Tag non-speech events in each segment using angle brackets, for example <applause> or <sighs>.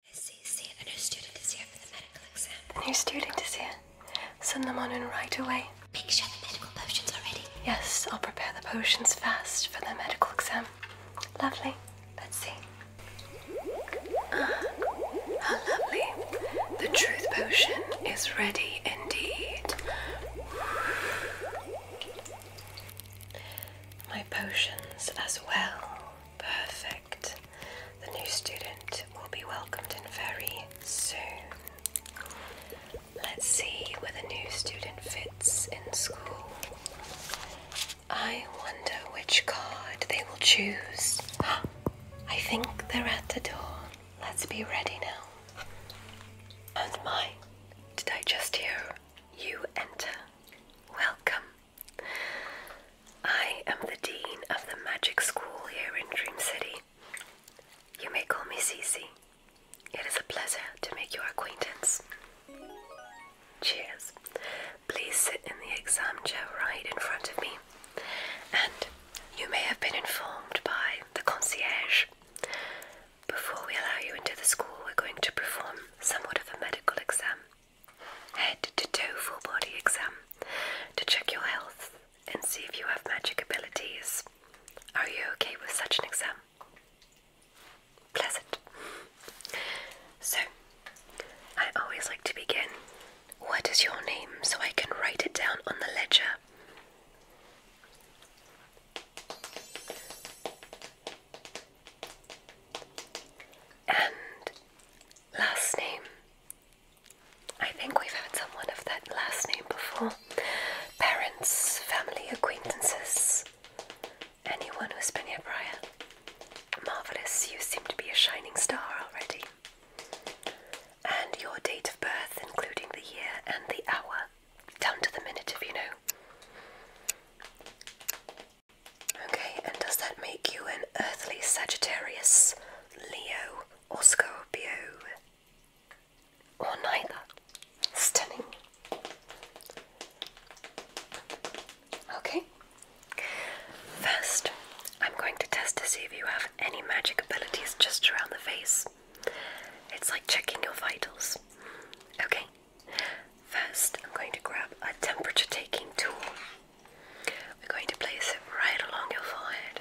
A new student is here for the medical exam. A new student is here. Send them on in right away. Make sure the medical potions are ready. Yes, I'll prepare the potions fast for the medical exam. Lovely. Let's see. Ah, how lovely. The truth potion is ready indeed. My potions as well. Perfect. The new student will be welcomed in very soon. Let's see where the new student fits in school. I wonder which card they will choose. <gasps> I think they're at the door. Let's be ready now. And mine. Did I just hear you enter? Welcome. I am the Dean of the Magic School here in Dream City. You may call me Cece. It is a pleasure to make your acquaintance. Cheers. Please sit in the exam chair right in front of me. And you may have been informed by the concierge. Before we allow you into the school, we're going to perform somewhat of a medical exam. Head to toe full body exam to check your health and see if you have magic abilities. Are you okay with such an exam? Pleasant. So, I always like to begin. What is your name so I can write it down on the ledger? And last name. I think we've had someone of that last name before. Parents, family, acquaintances, anyone who's been here prior. Marvellous, you seem to be a shining star already. And your date of birth, including the year and the hour, down to the minute if you know. Okay, and does that make you an earthly Sagittarius, Leo, or Scorpio? Or neither? Stunning. Okay, first I'm going to test to see if you have any magic abilities just around the face. It's like checking your vitals. Okay, first I'm going to grab a temperature taking tool. We're going to place it right along your forehead,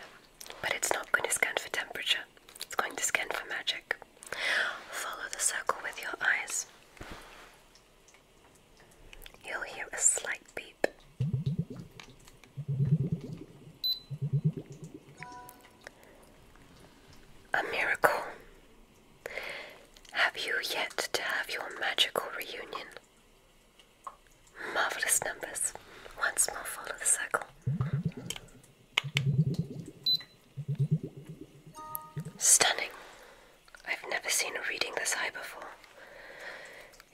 but it's not going to scan for temperature, it's going to scan for magic. Follow the circle with your eyes. You'll hear a slight beep. A miracle. Have you yet to have your magical reunion? Marvellous numbers. Once more, follow the circle. Stunning. I've never seen a reading this high before.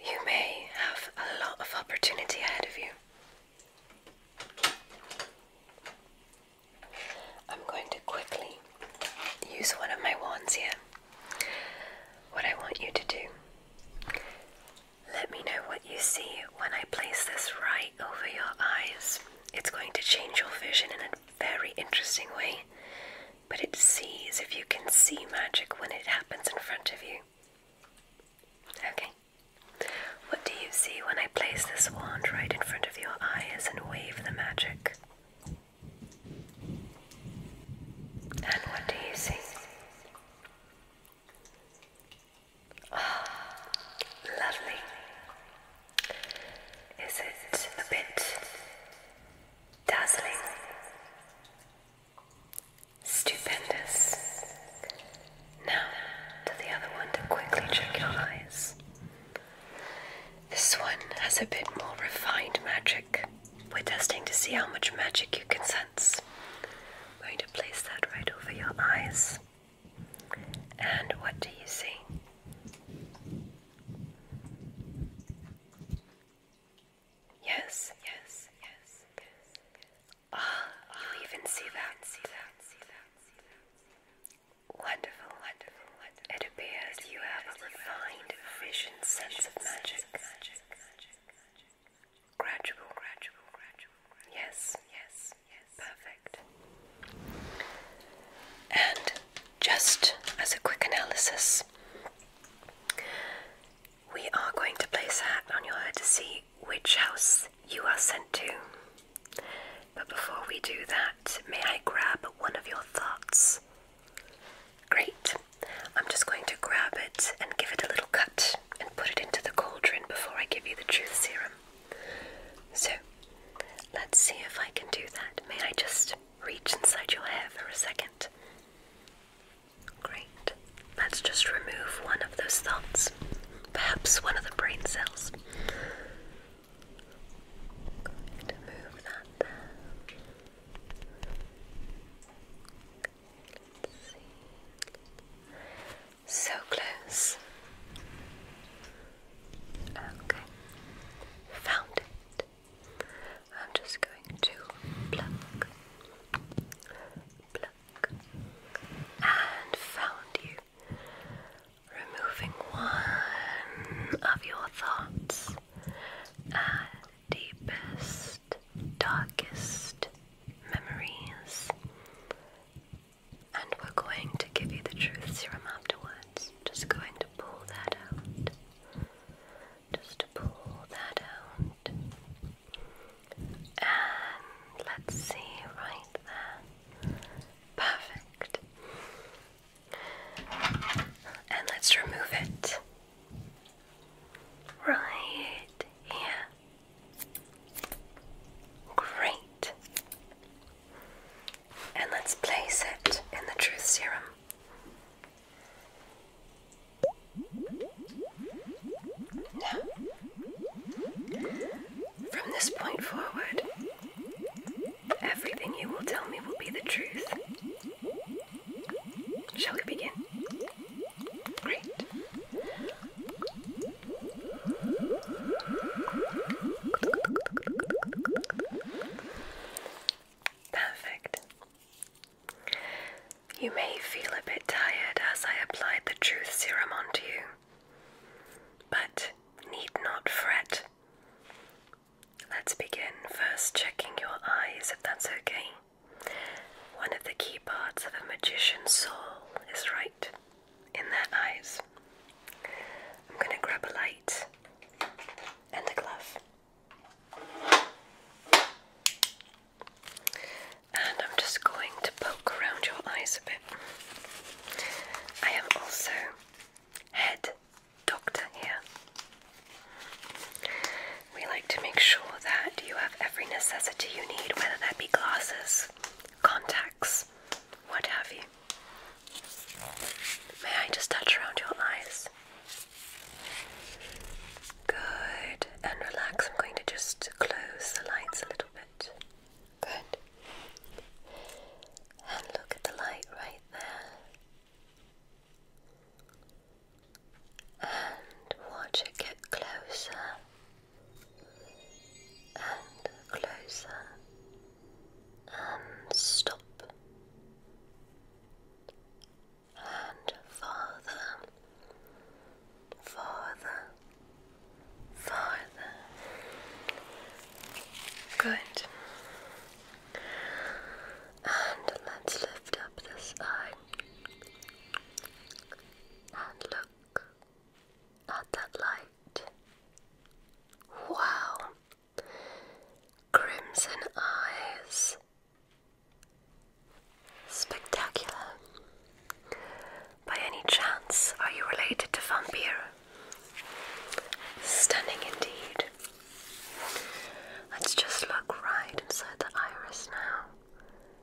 You may have a lot of opportunity ahead of you. I'm going to quickly use one of my wands here. What I want you to do, let me know what you see when I place this right over your eyes. It's going to change your vision in a very interesting way, but it sees if you can see magic when it happens in front of you. Okay. What do you see when I place this wand right in front of your eyes and wave the magic? And what do you see? Ah, lovely. Is it a bit dazzling? Stupendous. Now, to the other one to quickly check your eyes. This one has a bit more refined magic. We're testing to see how much magic you can sense. I'm going to place that right over your eyes. And what do you see? Yes, yes, yes, yes. yes. oh, ah, you even see that, see that, see that, see that. Wonderful, wonderful, it appears you have a refined vision sense of magic. Gradual, yes, yes. Perfect. And just as a quick analysis, we are going to place a hat on your head to see which house you are sent to. But before we do that, may I grab one of your thoughts Great. I'm just going to grab it and give it a little cut and put it into the cauldron before I give you the truth serum. So, let's see if I can do that. May I just reach inside your hair for a second? Great. Let's just remove one of those thoughts, perhaps one of the brain cells. Going to move that there. So close. Okay, found it. I'm just going to pluck, pluck, and found you. Removing one of your thoughts deepest, darkest memories. And we're going to give you the truth serum afterwards. Just going to pull that out. Just to pull that out. And let's see right there. Perfect. And let's remove it. Right here. Great. And let's place it in the truth serum. from this point forward, everything you will tell me will be the truth. Shall we begin? Great. Perfect. You may feel a bit tired as I applied the truth serum onto you, but need not fret. Let's begin first checking your eyes if that's okay. One of the key parts of a magician's soul is right in their eyes. I'm going to grab a light and a glove. And I'm just going to poke around your eyes a bit. I am also head doctor here. We like to make sure that you have every necessity you need, whether that be glasses, contacts, what have you. May I just touch around your eyes? Good. And relax. I'm going to just close the lights a little bit. Good. And look at the light right there and watch it get closer and closer and stop and farther, farther, farther. Good. And let's lift up this eye and look at that light. Wow! Crimson eyes. Spectacular. By any chance, are you related to Vampire? Stunning indeed. Let's just look right inside the iris now.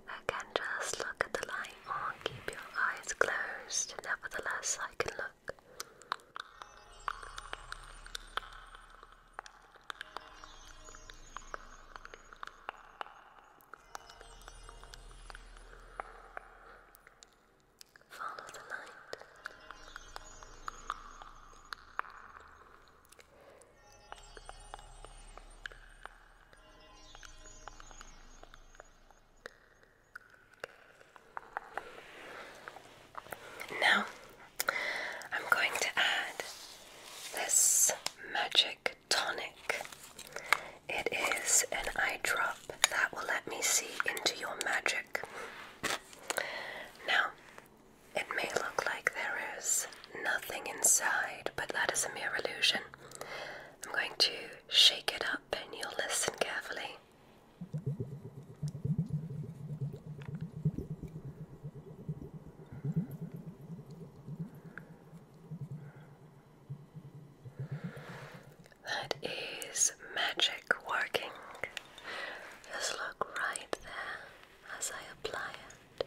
Again, just look at the light or oh, keep your eyes closed. Nevertheless, I can look. Follow the light. Now, I'm going to add this magic tonic. It is an eye that will let me see into your magic. Now, it may look like there is nothing inside, but that is a mere illusion. I'm going to shake it up and you'll listen carefully. That is magic working. Just look right there as I apply it.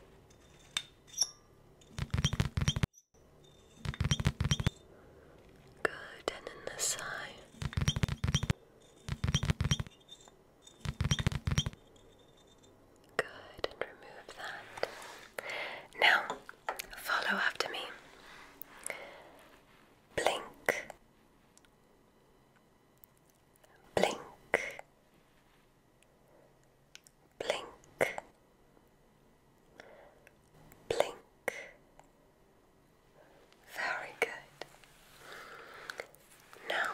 Good, and in this eye. Good, and remove that. Now, follow after me. Blink blink, blink, blink. Very good. Now,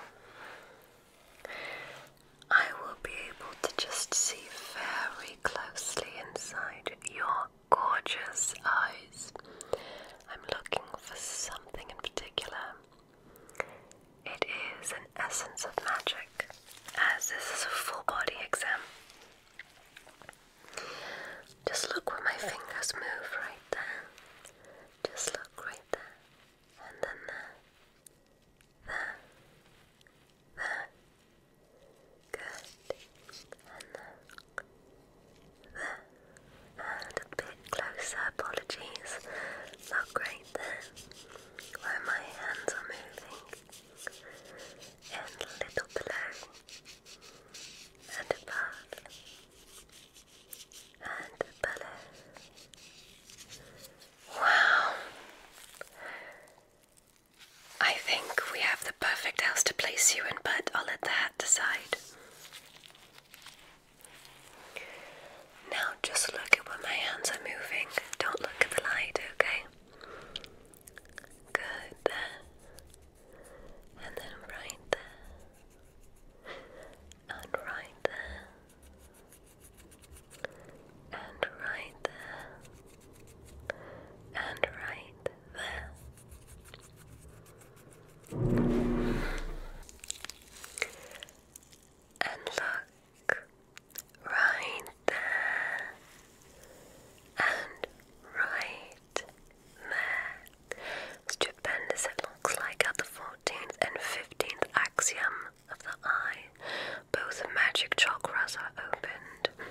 I will be able to just see very closely inside your gorgeous eyes. I'm looking for something in particular. It is an essence of magic, as this is a full body exam. Just look where my fingers move right there. Just look right there. And then there. There. There. Good. And there. There and a bit closer, apologies. Not great there, where my hands are moving, and a little below, and above, and below. Wow! I think we have the perfect house to place you in, but I'll let the hat decide. Now just look at where my hands are moving. Don't look at the light, okay? Good there. And then right there. And right there. And right there. And right there. And look right there and right there. Stupendous it looks like at the 14th and 15th axiom of the eye. Both magic chakras are opened.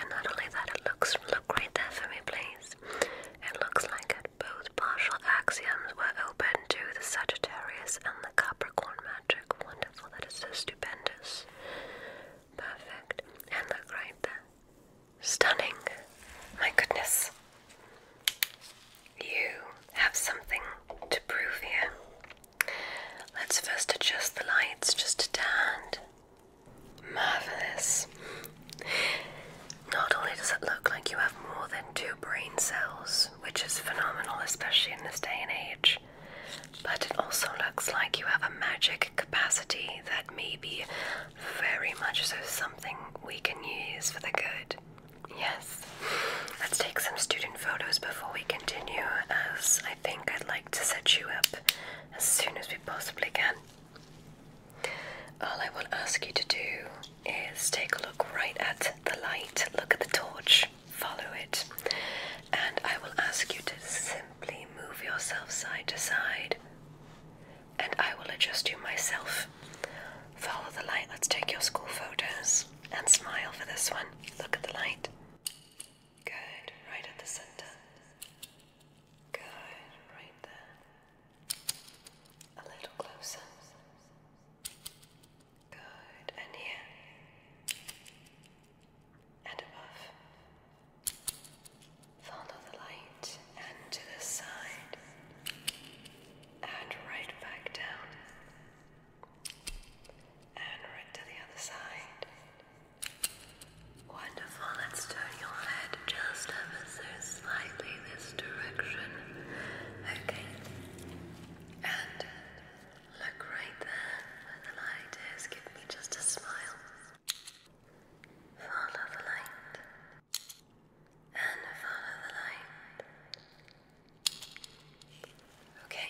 And not only that, it looks look right there for me, please. It looks like a both partial axioms were open to the Sagittarius and the Capricorn magic. Wonderful, that is stupendous. Perfect. And look there. Stunning. My goodness. You have something to prove here. Let's first adjust the lights just a tad. Marvelous. Not only does it look like you have more than two brain cells, which is phenomenal, especially in this day and age. But it also looks like you have a magic capacity that may be very much so something we can use for the good. Yes. Let's take some student photos before we continue, as I think I'd like to set you up as soon as we possibly can. All I will ask you to do is take a look right at the light, look at the torch, follow it, and I will ask you to simply move yourself side to side, and I will adjust you myself. Follow the light, let's take your school photos and smile for this one. Look at the light. Good, right at the center. Good, right there. A little closer. Good. And here. And above. Follow the light and to the side. And right back down. And right to the other side. Wonderful. Let's turn your head just ever so slightly this direction. Okay. And look right there where the light is. Give me just a smile. Follow the light. And follow the light. Okay.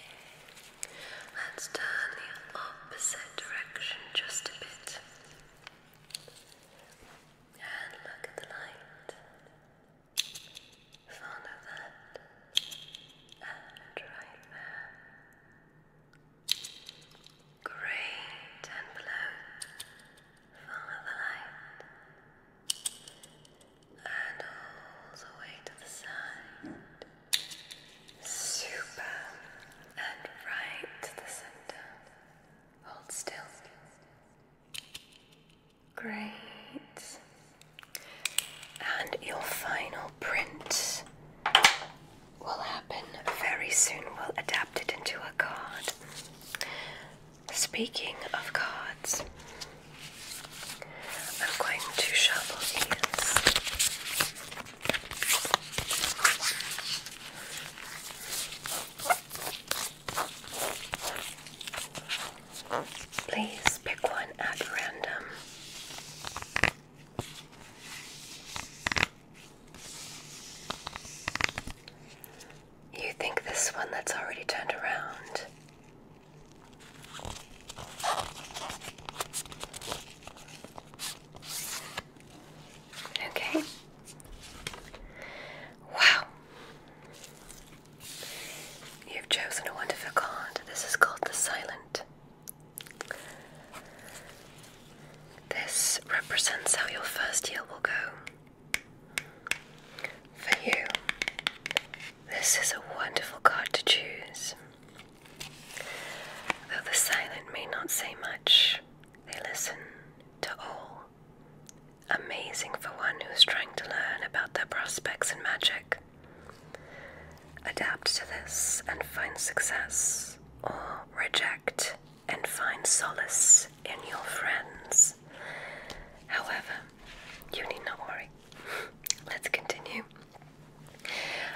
Let's turn the opposite direction just a bit. And look at the light front of that and right there. Great and below. Follow the light. And all the way to the side. Super. And right to the center. Hold still. Great. And your final print will happen very soon. We'll adapt it into a card. Speaking of cards, I'm going to shuffle these. Please pick one at random. You think this one that's already turned around? Okay. Wow. You've chosen a wonderful card. This is called the Silent. This represents how your first year will go. For you, this is a wonderful card to choose. Though the silent may not say much, they listen to all Amazing for one who's trying to learn about their prospects in magic. Adapt to this and find success, or reject and find solace in your friends. However, you need not worry. <laughs> Let's continue.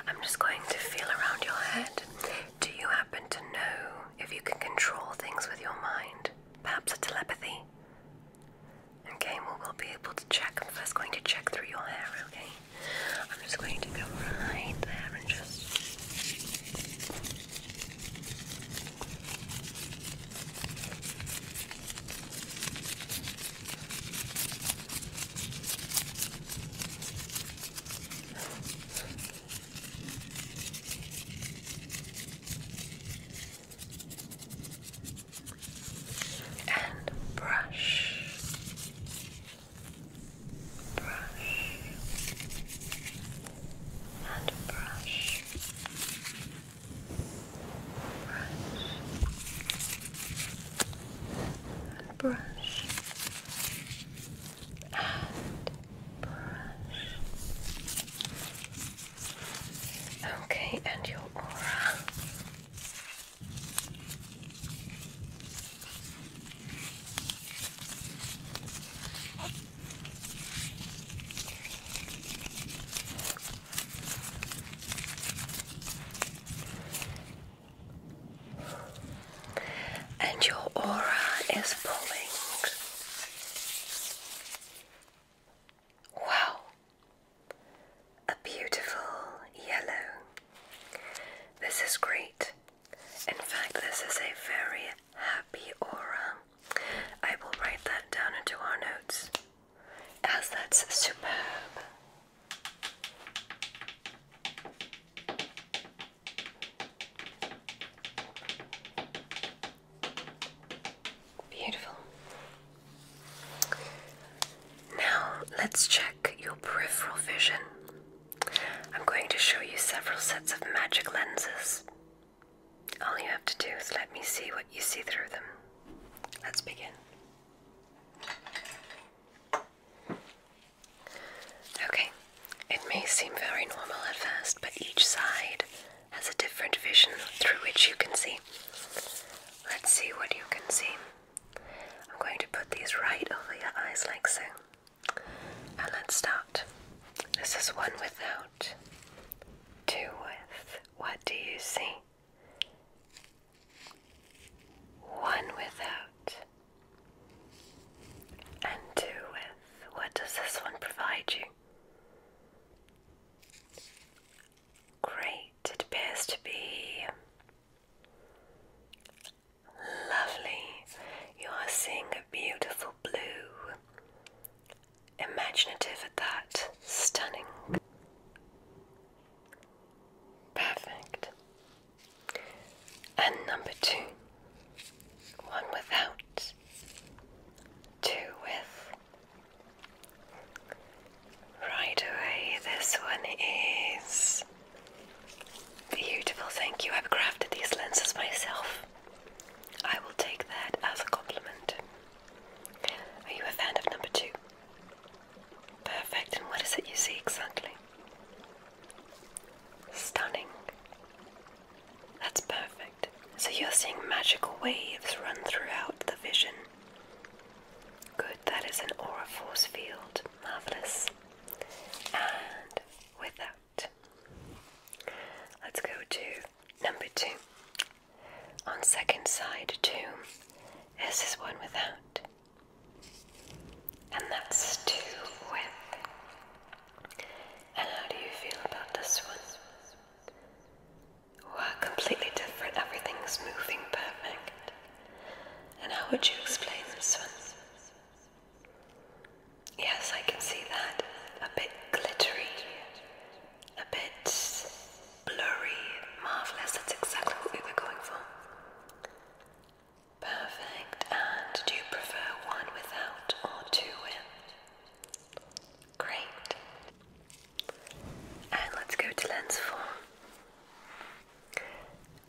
I'm just going to feel around your head. Do you happen to know if you can control things with your mind? Perhaps a telepathy? Okay, we'll be able to check. I'm first going to check through your hair, okay? I'm just going to go right there and just and brush, brush, and brush, brush, and brush, and brush. Okay, and your aura. And your aura is pulling. Wow, a beautiful yellow. This is great. In fact, this is a very happy aura. I will write that down into our notes as that's superb. Beautiful. Now let's check your peripheral vision. I'm going to show you several sets of magic lenses. All you have to do is let me see what you see through them. Let's begin. Okay, it may seem very normal at first, but each side has a different vision through which you can see. Let's see what you can see. I'm going to put these right over your eyes like so. And let's start. This is one without, two with. What do you see? One without, and two with. What does this one provide you? Great, it appears to be lovely. You are seeing a beautiful blue. Imaginative at that, stunning. Perfect. And number two. One without, two with. Right away, this one is beautiful. Thank you. I've crafted these lenses myself. I will take that as a compliment. Are you a fan of number two? Perfect. And what is it you see exactly? Stunning. That's perfect. So you're seeing magical waves run throughout the vision. Good, that is an aura force field. Marvelous. And with let's go to number two. On second side too, this is one without. And that's two with. And how do you feel about this one? We're completely different. Everything's moving perfect. And how would you explain this one? Yes, I can see that. A bit glittery, a bit blurry, marvelous. That's exactly what we were going for. Perfect. And do you prefer one without or two with? Great. And let's go to lens four.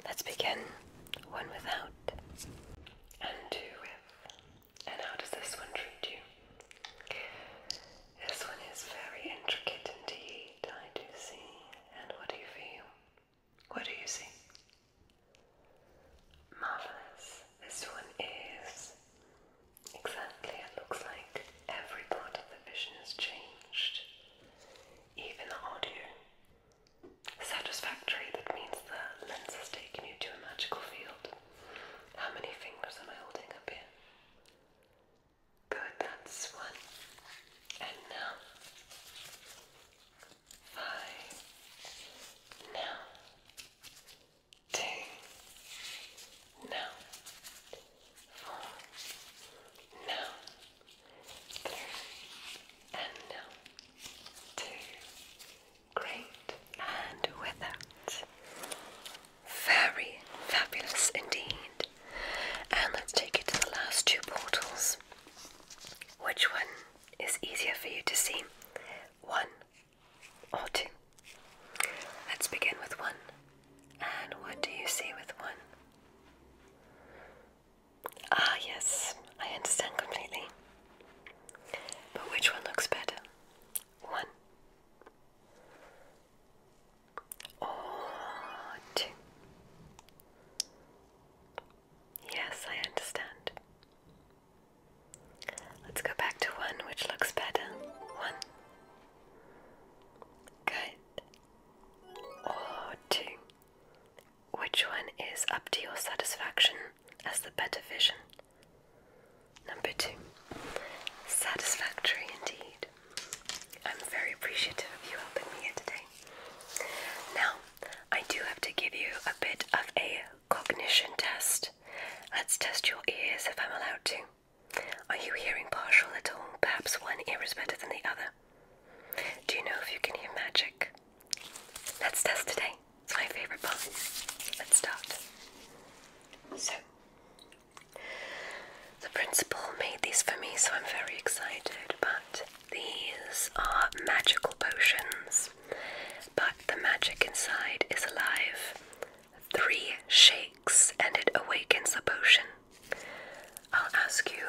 Let's begin one without and two with. And how does this one treat you? This one is very intricate indeed, I do see. And what do you feel? What do you see? Marvelous. This one is Exactly, it looks like every part of the vision has changed, even the audio. Satisfactory, that means the lens has taken you to a magical field. How many fingers am I holding up here? Good, that's one. And now, five. Now, two, now, four, now, three, and now, two. Great, and with very fabulous indeed. And let's take it to the last two portals. Which one is easier for you to see? One or two. Let's begin with one. And what do you see with one? Ah, yes, I understand completely. But which one looks better? One or two? Yes, I understand. Let's go back to one which looks better. One Good. Or two. Which one is up to your satisfaction as the better vision? Number two. Satisfactory indeed. I'm very appreciative of you helping me here today. Now, I do have to give you a bit of a cognition test. Let's test your ears if I'm allowed to. Are you hearing partial at all? Perhaps one ear is better than the other. Do you know if you can hear magic? Let's test today. It's my favorite part. Let's start. So, the principal made these for me, so I'm very excited. But these are magical potions, but the magic inside is alive three shakes and it awakens the potion. I'll ask you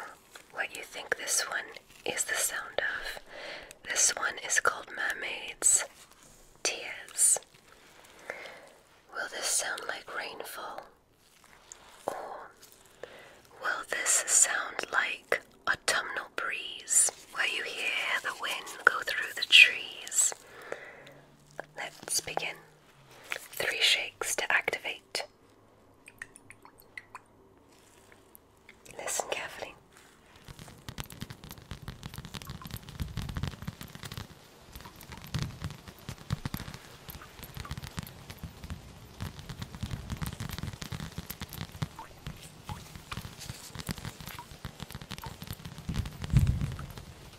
what you think this one is the sound of. This one is called Mermaid's Tears. Will this sound like rainfall? Or will this sound like autumnal breeze where you hear the wind go through the trees? Let's begin. Three shakes to activate. Listen carefully.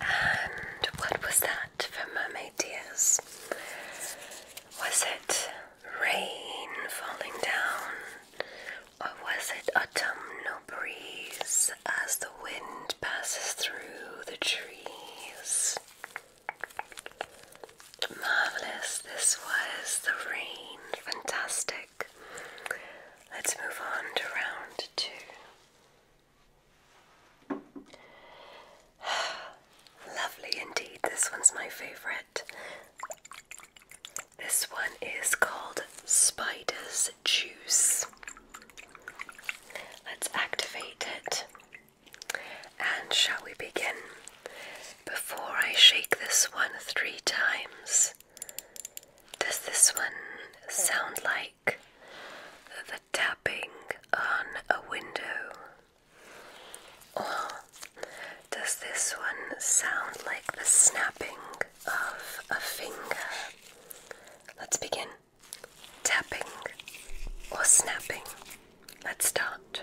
And what was that for mermaid tears? Was it rain falling down? Or was it autumnal breeze as the wind passes through the trees? Marvelous, this was the rain. Fantastic. Let's move on to round two. <sighs> Lovely indeed. This one's my favorite. This one is called Spider's Juice. Let's activate it. And shall we begin? Before I shake this one three times, does this one sound like the tapping on a window? Or does this one sound like the snapping of a finger? Let's begin. Tapping or snapping. Let's start.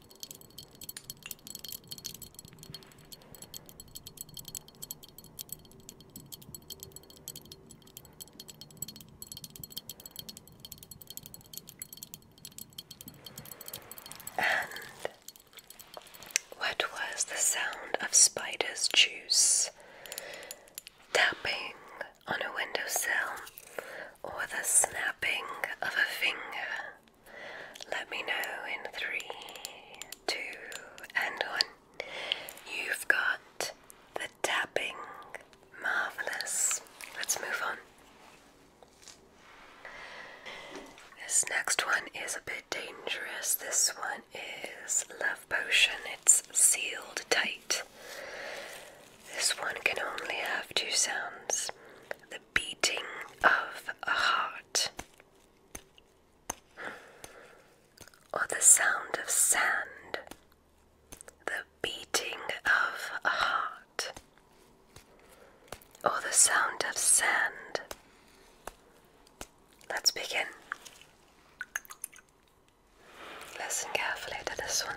And what was the sound of spider's juice tapping on a windowsill or the snapping of a finger? Let me know in three, two, and one. You've got the tapping. Marvelous. Let's move on. This next one is a bit dangerous. This one is Love Potion. It's sealed tight. This one can only have two sounds the beating of a heart. Or the sound of sand, the beating of a heart. Or the sound of sand. Let's begin. Listen carefully to this one.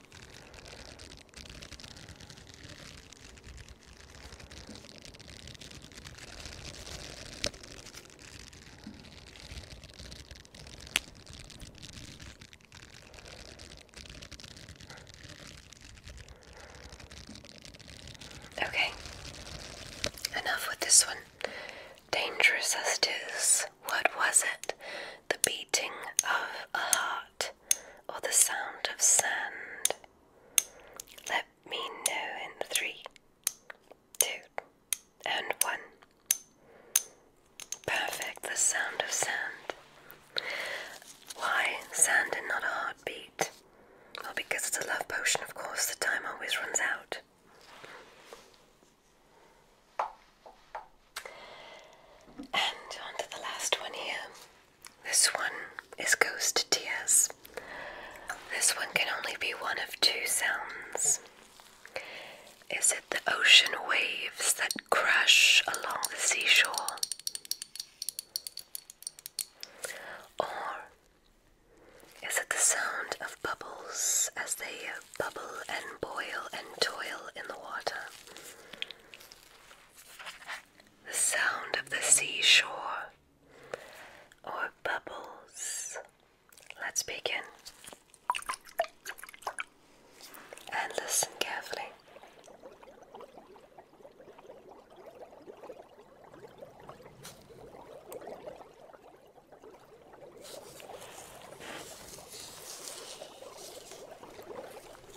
Okay, enough with this one. Dangerous as it is, what was it? The beating of a heart or the sound of sand. Let me know in three, two, and one. Perfect, the sound of sand. Why sand and not a heartbeat? Well, because it's a love potion, of course, the time always runs out. And on the last one here. This one is Ghost Tears. This one can only be one of two sounds. Is it the ocean waves that crash along the seashore? Or is it the sound of bubbles as they bubble and boil and toil in the water? the sound of the seashore or bubbles. Let's begin and listen carefully.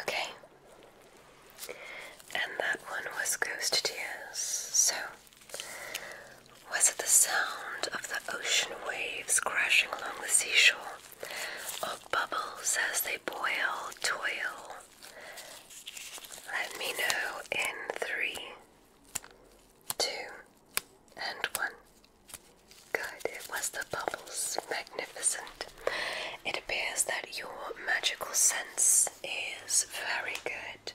Okay. And that one was Ghost Tears. So, was it the sound of the ocean waves crashing along the seashore, or bubbles as they boil, toil? Let me know in three, two, and one. Good, it was the bubbles. Magnificent. It appears that your magical sense is very good.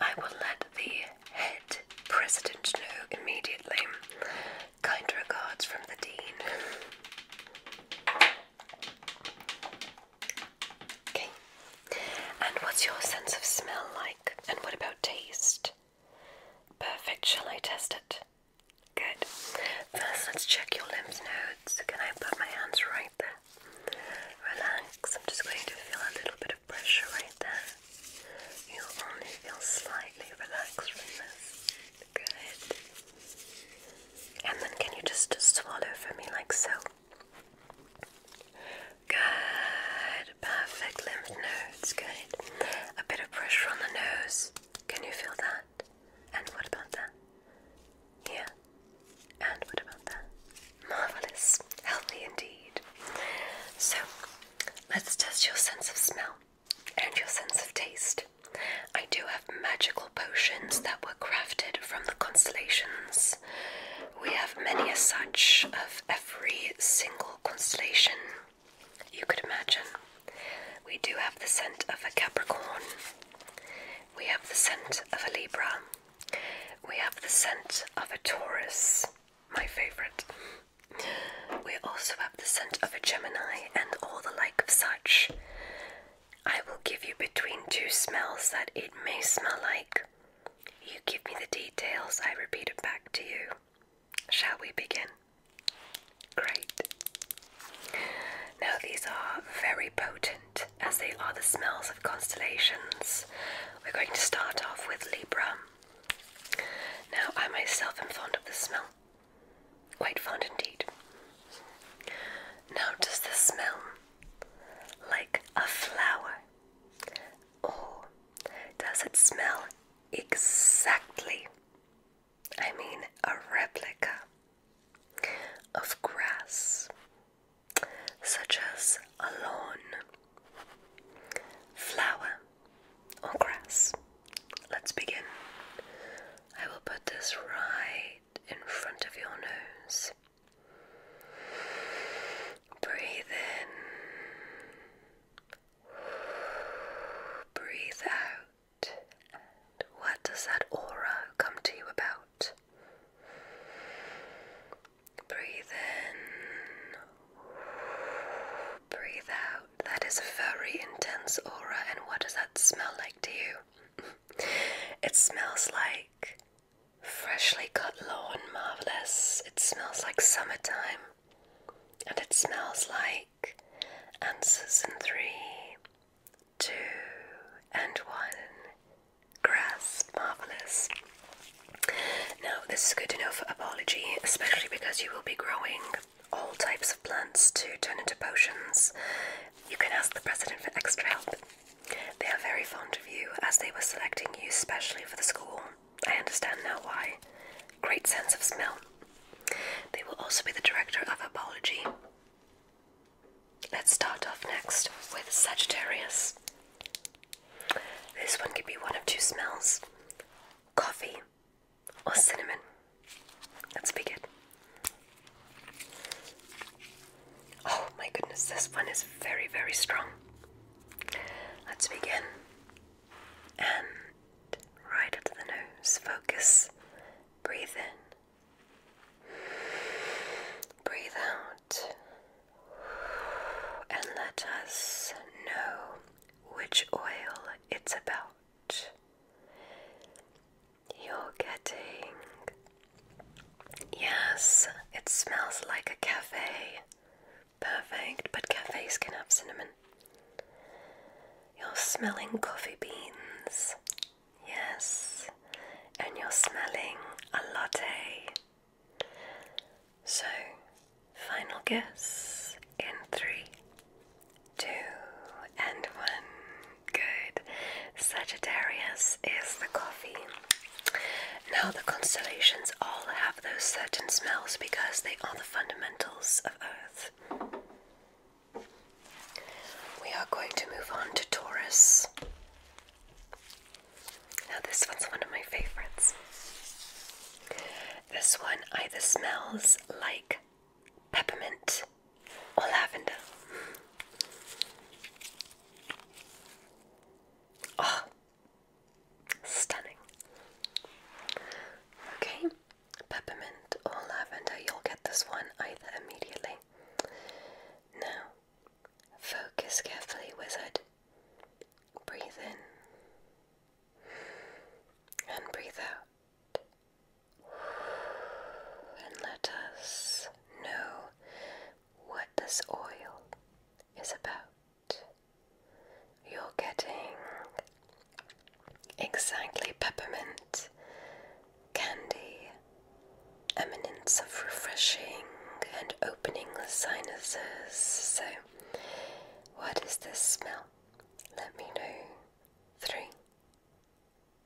I will let the head president know immediately. Kind regards from the Dean. Okay. And what's your sense of smell like? And what about taste? Perfect. Shall I test it? Good. First, let's check your lymph nodes. Can I put my hands right there? Relax. I'm just going to feel a little bit of pressure right there. You'll only feel slightly relaxed from this. Good. And then, can you just swallow for me like so? Good. Perfect lymph nodes. Good. A bit of pressure on the nose. Can you feel that? And what about that? Here. And what about that? Marvelous. Healthy indeed. So, let's test your sense of smell and your sense of taste. I do have magical potions that were crafted from the constellations. We have many as such of every single constellation you could imagine. We do have the scent of a Capricorn, we have the scent of a Libra, we have the scent of a Taurus, my favorite. We also have the scent of a Gemini and all the like of such. I will give you between two smells that it may smell like you give me the details, I repeat it back to you. Shall we begin? Great. Now, these are very potent as they are the smells of constellations. We're going to start off with Libra. Now, I myself am fond of the smell. Quite fond indeed. Now, does this smell like a flower Oh, does it smell exactly? I mean, a replica of grass, such as a lawn, flower, or grass. Let's begin. I will put this right in front of your nose. Breathe in. Breathe out. what does that aura come to you about? Breathe in. Breathe out. That is a very intense aura. And what does that smell like to you? <laughs> it smells like Freshly cut lawn, marvellous. It smells like summertime. And it smells like answers in three, two, and one. Grass, marvellous. Now, this is good enough for herbology, especially because you will be growing all types of plants to turn into potions. You can ask the president for extra help. They are very fond of you, as they were selecting you specially for the school. I understand now why. Great sense of smell. They will also be the director of apology. Let's start off next with Sagittarius. This one could be one of two smells coffee or cinnamon. Let's begin. Oh my goodness, this one is very, very strong. Let's begin. And right to the nose, focus. Breathe in. Breathe out. And let us know which oil it's about. You're getting Yes, it smells like a cafe. Perfect, but cafes can have cinnamon. You're smelling coffee beans. Yes, and you're smelling a latte. So, final guess in three, two, and one. Good. Sagittarius is the coffee. Now, the constellations all have those certain smells because they are the fundamentals of Earth. We are going to move on to Taurus. Now, this one's one of my favorites. This one either smells like peppermint or lavender. Oh, Stunning. Okay, peppermint or lavender, you'll get this one either immediately. Now, focus carefully, wizard. Breathe in and breathe out. And let us know what this oil is about. You're getting exactly peppermint, candy, eminence of refreshing and opening the sinuses. So, what is this smell? Let me know. Three,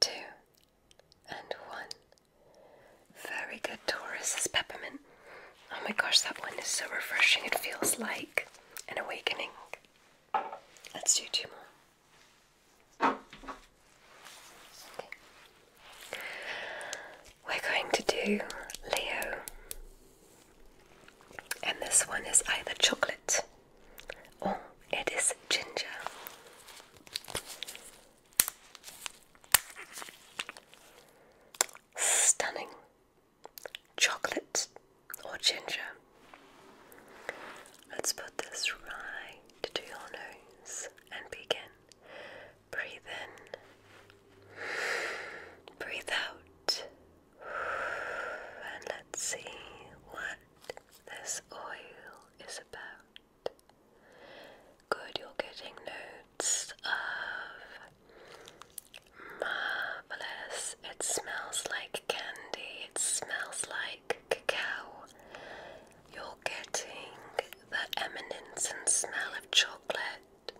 two, and one. Very good, Taurus is peppermint. Oh my gosh, that one is so refreshing. It feels like an awakening. Let's do two more. We're going to do Leo. And this one is either chocolate or it is ginger. Stunning. Chocolate or ginger. Let's put this right to your nose and begin. Breathe in, breathe out, and let's see what this oil is about. Good, you're getting notes of marvelous. It smells like candy, it smells like cacao. You're getting the eminence and smell of chocolate.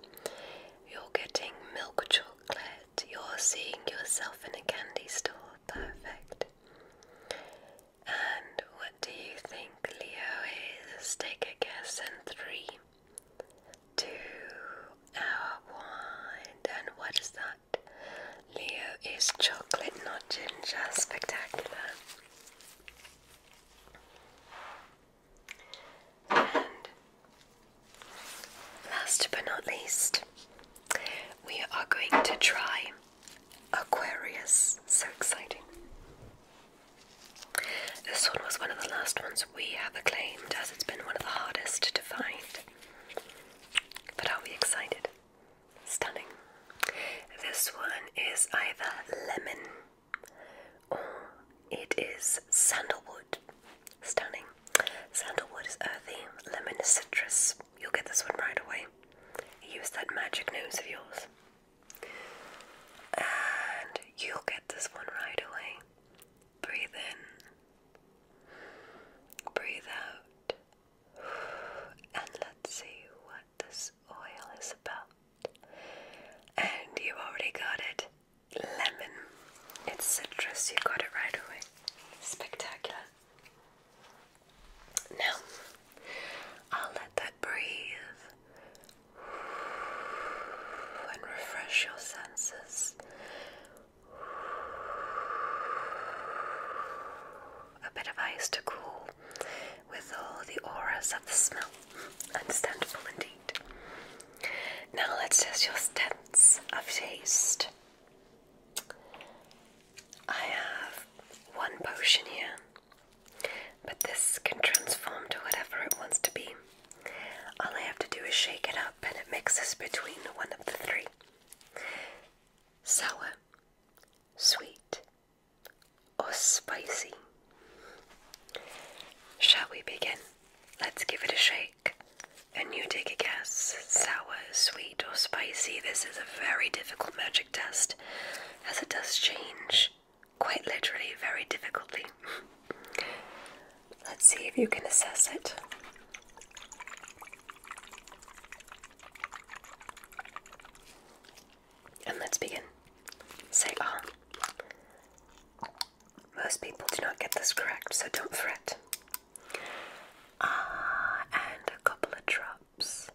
You're getting milk chocolate. You're seeing yourself in a candy store. Perfect. And what do you think? Leo is take a guess and what is that? Leo is chocolate, not ginger. Spectacular. And last but not least, we are going to try Aquarius. So exciting. This one was one of the last ones we have acclaimed as it's been one of the hardest to find. But are we excited? Stunning. This one is either lemon or it is sandalwood. Stunning. Sandalwood is earthy, lemon is citrus. You'll get this one right away. Use that magic nose of yours. And you get this one right away. Breathe in, breathe out, and let's see what this oil is about. And you already got it lemon. It's citrus, you got it right away. Spectacular. Now, I'll let that breathe and refresh your senses. A bit of ice to cool with all the auras of the smell. Understandable indeed. Now let's test your sense of taste. I have one potion here but this can transform to whatever it wants to be. All I have to do is shake it up and it mixes between one of the three sour, sweet, or spicy. Shall we begin? Let's give it a shake. And you take a guess sour, sweet, or spicy. This is a very difficult magic test as it does change quite literally very difficultly. Let's see if you can assess it. And let's begin. Say ah. Most people do not get this correct, so don't fret. Ah, and a couple of drops.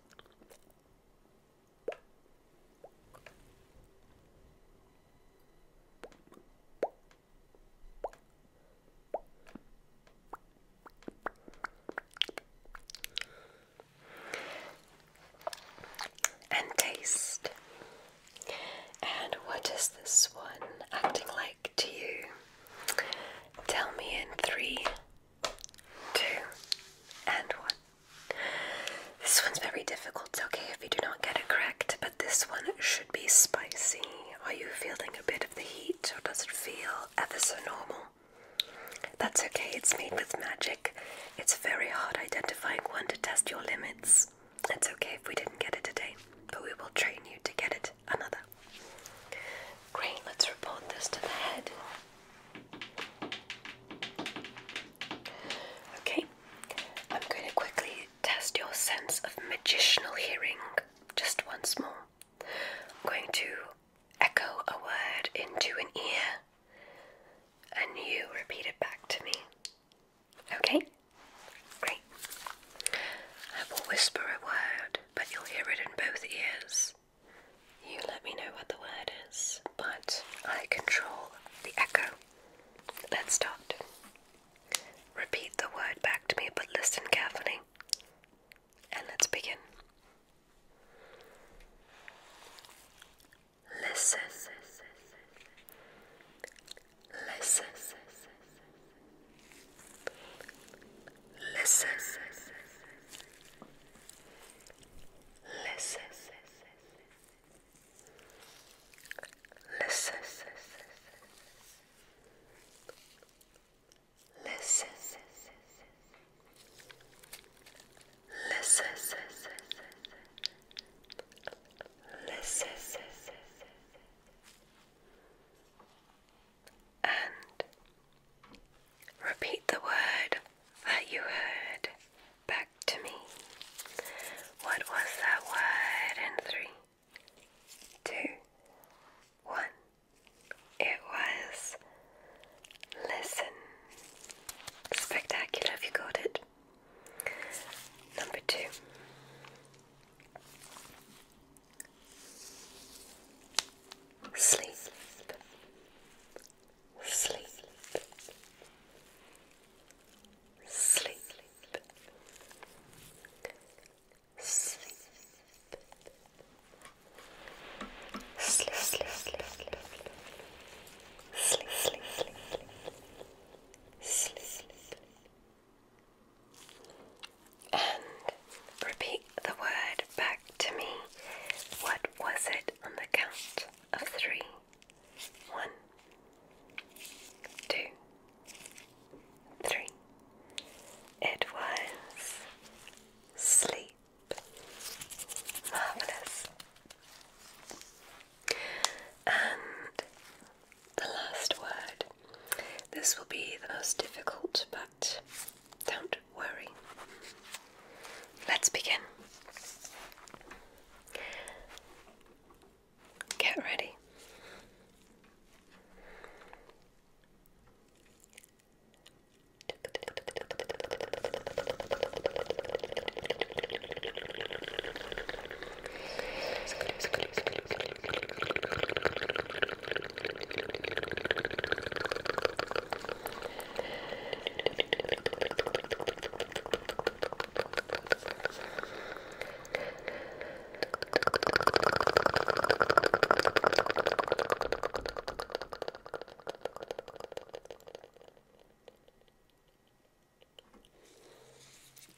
And taste. And what is this one acting like to you? Tell me in three, two, and one. This one's very difficult, okay, if you do not get it correct, but this one should be spicy. Are you feeling a bit of the heat, or does it feel ever so normal? That's okay, it's made with magic. It's very hard identifying one to test your limits. It's okay if we didn't get it today, but we will train you to get it another. Great, let's report this to the head. Okay, I'm going to quickly test your sense of magicianal hearing just once more. I'm going to echo a word into an ear and you repeat it back to me. Okay? Great. I will whisper a word, but you'll hear it in both ears. You let me know what the word is, but I control the echo. Let's start. Repeat the word back to me, but listen carefully. And let's begin. Listen. Listen. Listen. Listen. Listen. Listen. Listen. Listen. And repeat the word that you heard back to me. What was that word in three, two, one? It was listen. Spectacular if you got it. Number two. Sleep. Sleep sleep, sleep, sleep, sleep, sleep, sleep, sleep, sleep, sleep, and repeat the word back to me. What was it on the count of three? One, two, three. It was sleep. Marvelous. And the last word. This will be the most difficult, but don't worry. Let's begin. Get ready.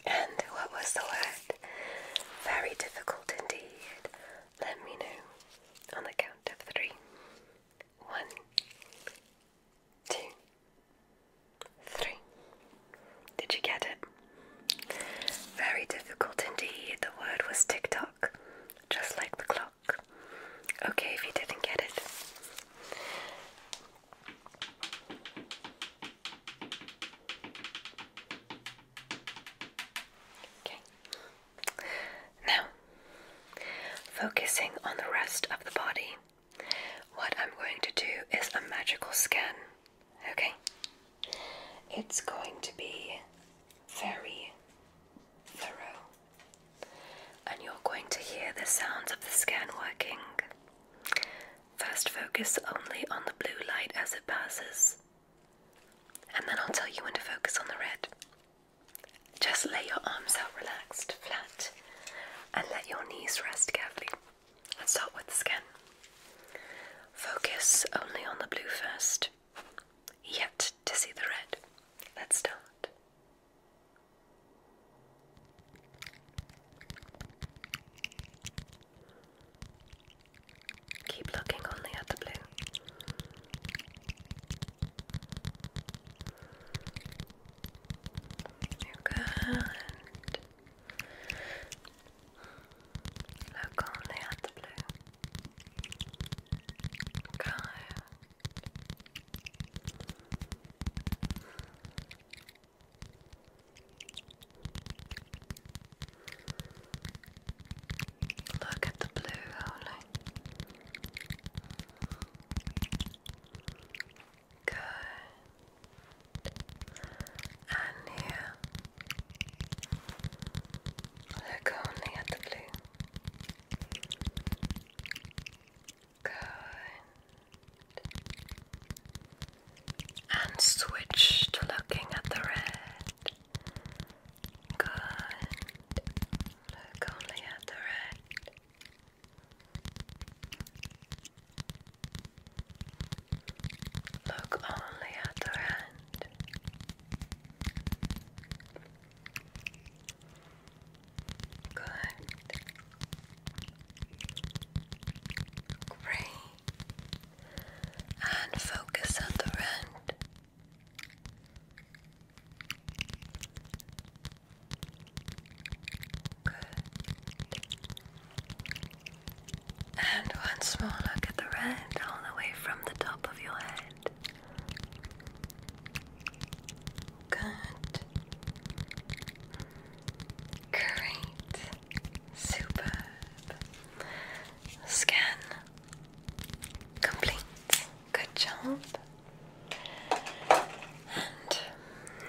And what was the word? Very difficult indeed. Let me know on the count of three. One, two three. Did you get it? Very difficult indeed. The word was tick tock, just like the clock. Okay, if you didn't get it. Okay. Now, focusing on the rest of the body. What I'm going to do is a magical scan, okay? It's going to be very thorough, and you're going to hear the sounds of the scan working. First, focus only on the blue light as it passes, and then I'll tell you when to focus on the red. Just lay your arms out relaxed, flat and let your knees rest carefully. Let's start with the skin. Focus only on the blue first, yet to see the red. Let's start. Keep looking only at the blue. You're Look only at the blue. Look at the blue only. Good. And here. Look only at the blue. Good. And switch to looking at the red. Good. Look only at the red. Look only at her hand. Good. Great. And focus at the end. And one small look at the red all the way from the top of your head. Good. Great. Superb. Scan. Complete. Good job. And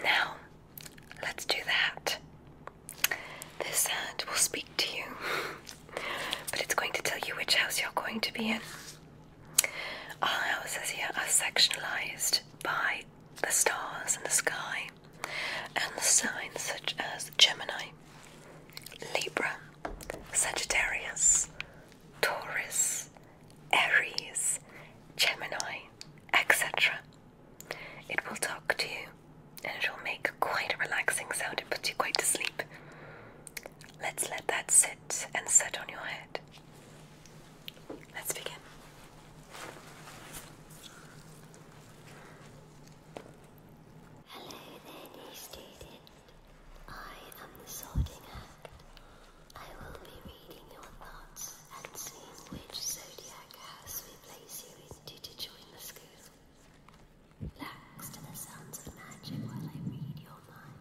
now Let's do that. This hand will speak to you, but it's going to tell you which house you're going to be in. Our houses here are sectionalized by the stars in the sky and the signs such as Gemini, Libra, Sagittarius, Taurus, Aries, Gemini, etc. It will talk to you and it will make quite a relaxing sound. It puts you quite to sleep. Let's let that sit and set on your head. Let's begin. Hello there, new student. I am the sorting act. I will be reading your thoughts and seeing which zodiac house we place you into to join the school. Relax to the sounds of magic while I read your mind.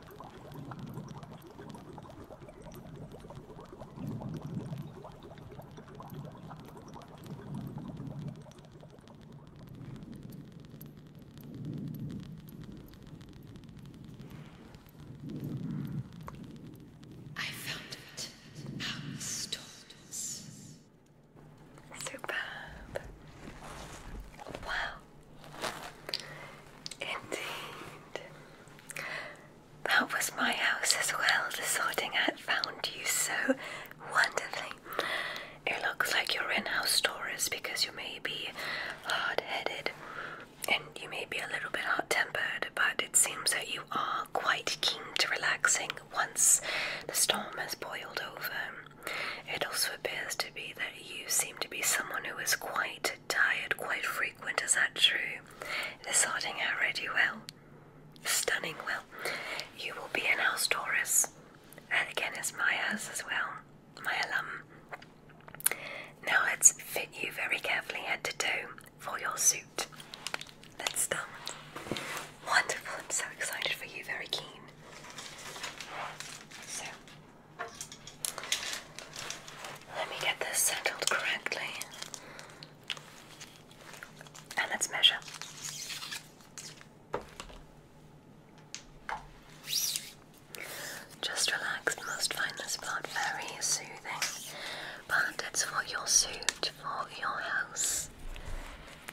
I found it. House Superb. Wow. Indeed. That was my house as well. The sorting hat found you so wonderfully. It looks like you're in house Taurus because you may be hard headed and you may be a little bit hot tempered, but it seems that you are quite keen to relaxing once the storm has boiled over. It also appears to be that you seem to be someone who is quite tired, quite frequent. Is that true? This sorting out ready well. Stunning well. You will be an house Taurus. And again, it's my house as well. My alum. Now let's fit you very carefully head to toe for your suit. Let's start. Wonderful. I'm so excited for you. Very keen. So let me get this settled correctly. And let's measure. Just relax, must find this part very soothing. But it's for your suit, for your house.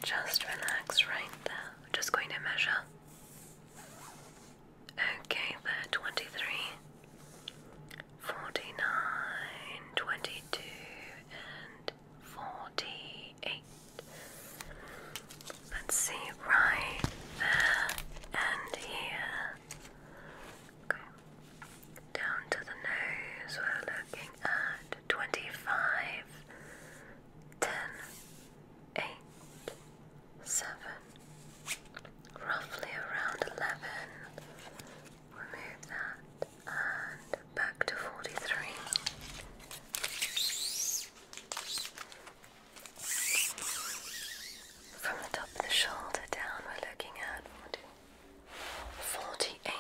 Just relax right there. Just going to measure. Okay, there, 23, and 48. Let's see, right there and here. Okay. Down to the nose, we're looking at 25, eight, seven, roughly around 11. Remove that and back to 43. From the top of the shoulder down, we're looking at 48.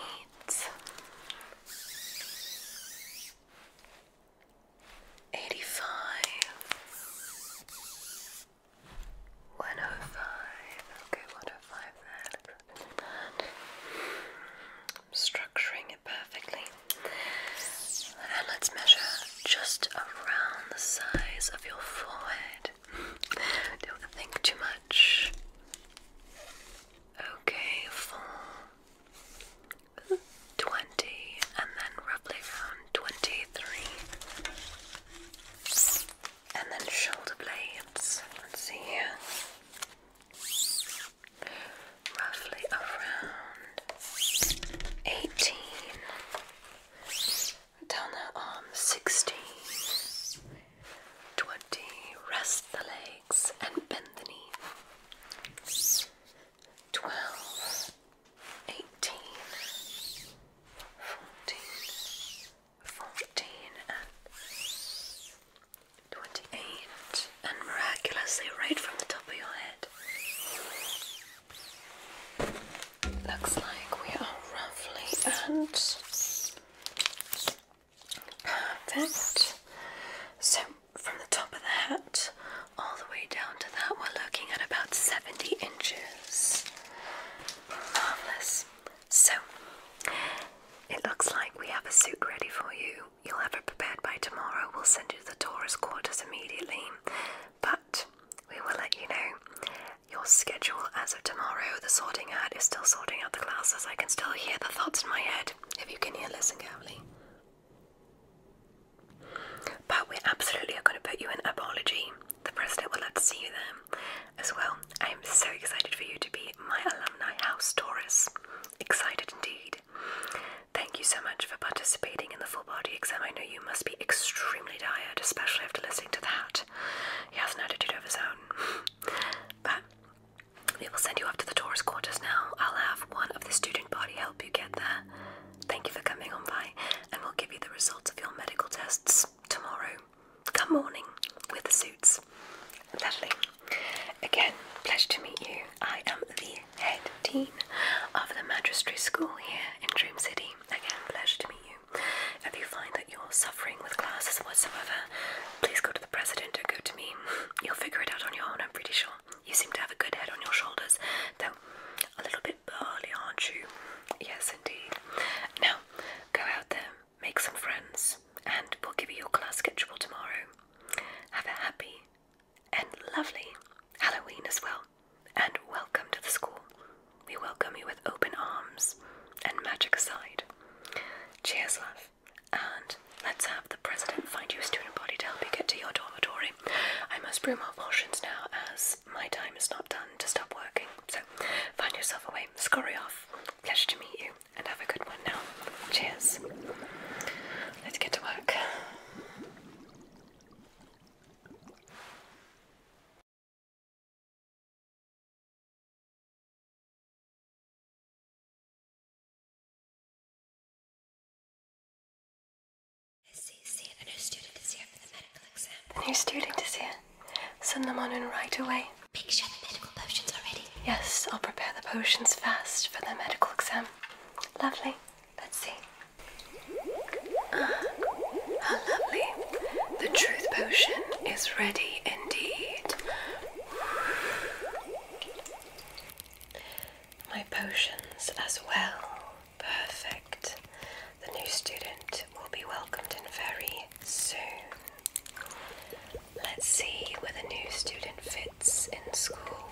85 okay 105 there structuring it perfectly and let's measure just around the size of your forehead don't think too much okay four twenty, and then roughly around twenty-three. And then shoulder blades. Let's see here. Roughly around eighteen. Down the arm, sixteen. Twenty. Rest the legs and bend the knee. Twelve eighteen, fourteen, fourteen, and twenty-eight, and miraculously right from the top of your head. Looks like we are roughly and perfect. So, from the top of the hat, all the way down to that, we're looking at about 70 inches. Marvellous. So, it looks like we have a suit ready for you. You'll have it prepared by tomorrow. We'll send you to the Taurus quarters immediately. But we will let you know your schedule as of tomorrow. The sorting hat is still sorting out the classes. I can still hear the thoughts in my head. If you can hear, listen carefully. But we absolutely are going to put you in Apology. The president will love to see you there as well. I am so excited for you to be my alumni house Taurus. Excited indeed. Thank you so much for participating in the full body exam. I know you must be extremely tired, especially after listening to that. He has an attitude of his own. <laughs> but we will send you off to the Taurus quarters now. I'll have one of the student body help you get there. Thank you for coming on by, and we'll give you the results of your medical tests tomorrow. Come morning with the suits. Lovely. Again, pleasure to meet you. I am the head dean of the magistracy school here in Dream City. Again, pleasure to meet you. If you find that you're suffering with classes whatsoever, please go to the president or go to me. You'll figure it out on your own, I'm pretty sure. You seem to have a good head on your shoulders, though a little bit bit aren't you? Yes, indeed. Now, go out there, make some friends, and we'll give you your class schedule tomorrow. Have a happy and lovely Halloween as well, and welcome to the school. We welcome you with open arms and magic aside. Cheers, love, and let's have the president find you a student body to help you get to your dormitory. I must brew more potions now as my time is not done to stop working. So find yourself a way, scurry off. Pleasure to meet you and have a good one now. Cheers. Let's get to work. CC, the new student is here for the medical exam. The new student is here. Send them on in right away. Make sure the medical potions are ready. Yes, I'll prepare the potions fast for the medical exam. Lovely. Let's see. Ah, lovely. The truth potion is ready indeed. My potions as well. Perfect. The new student will be welcomed in very soon. Let's see where the new student fits in school.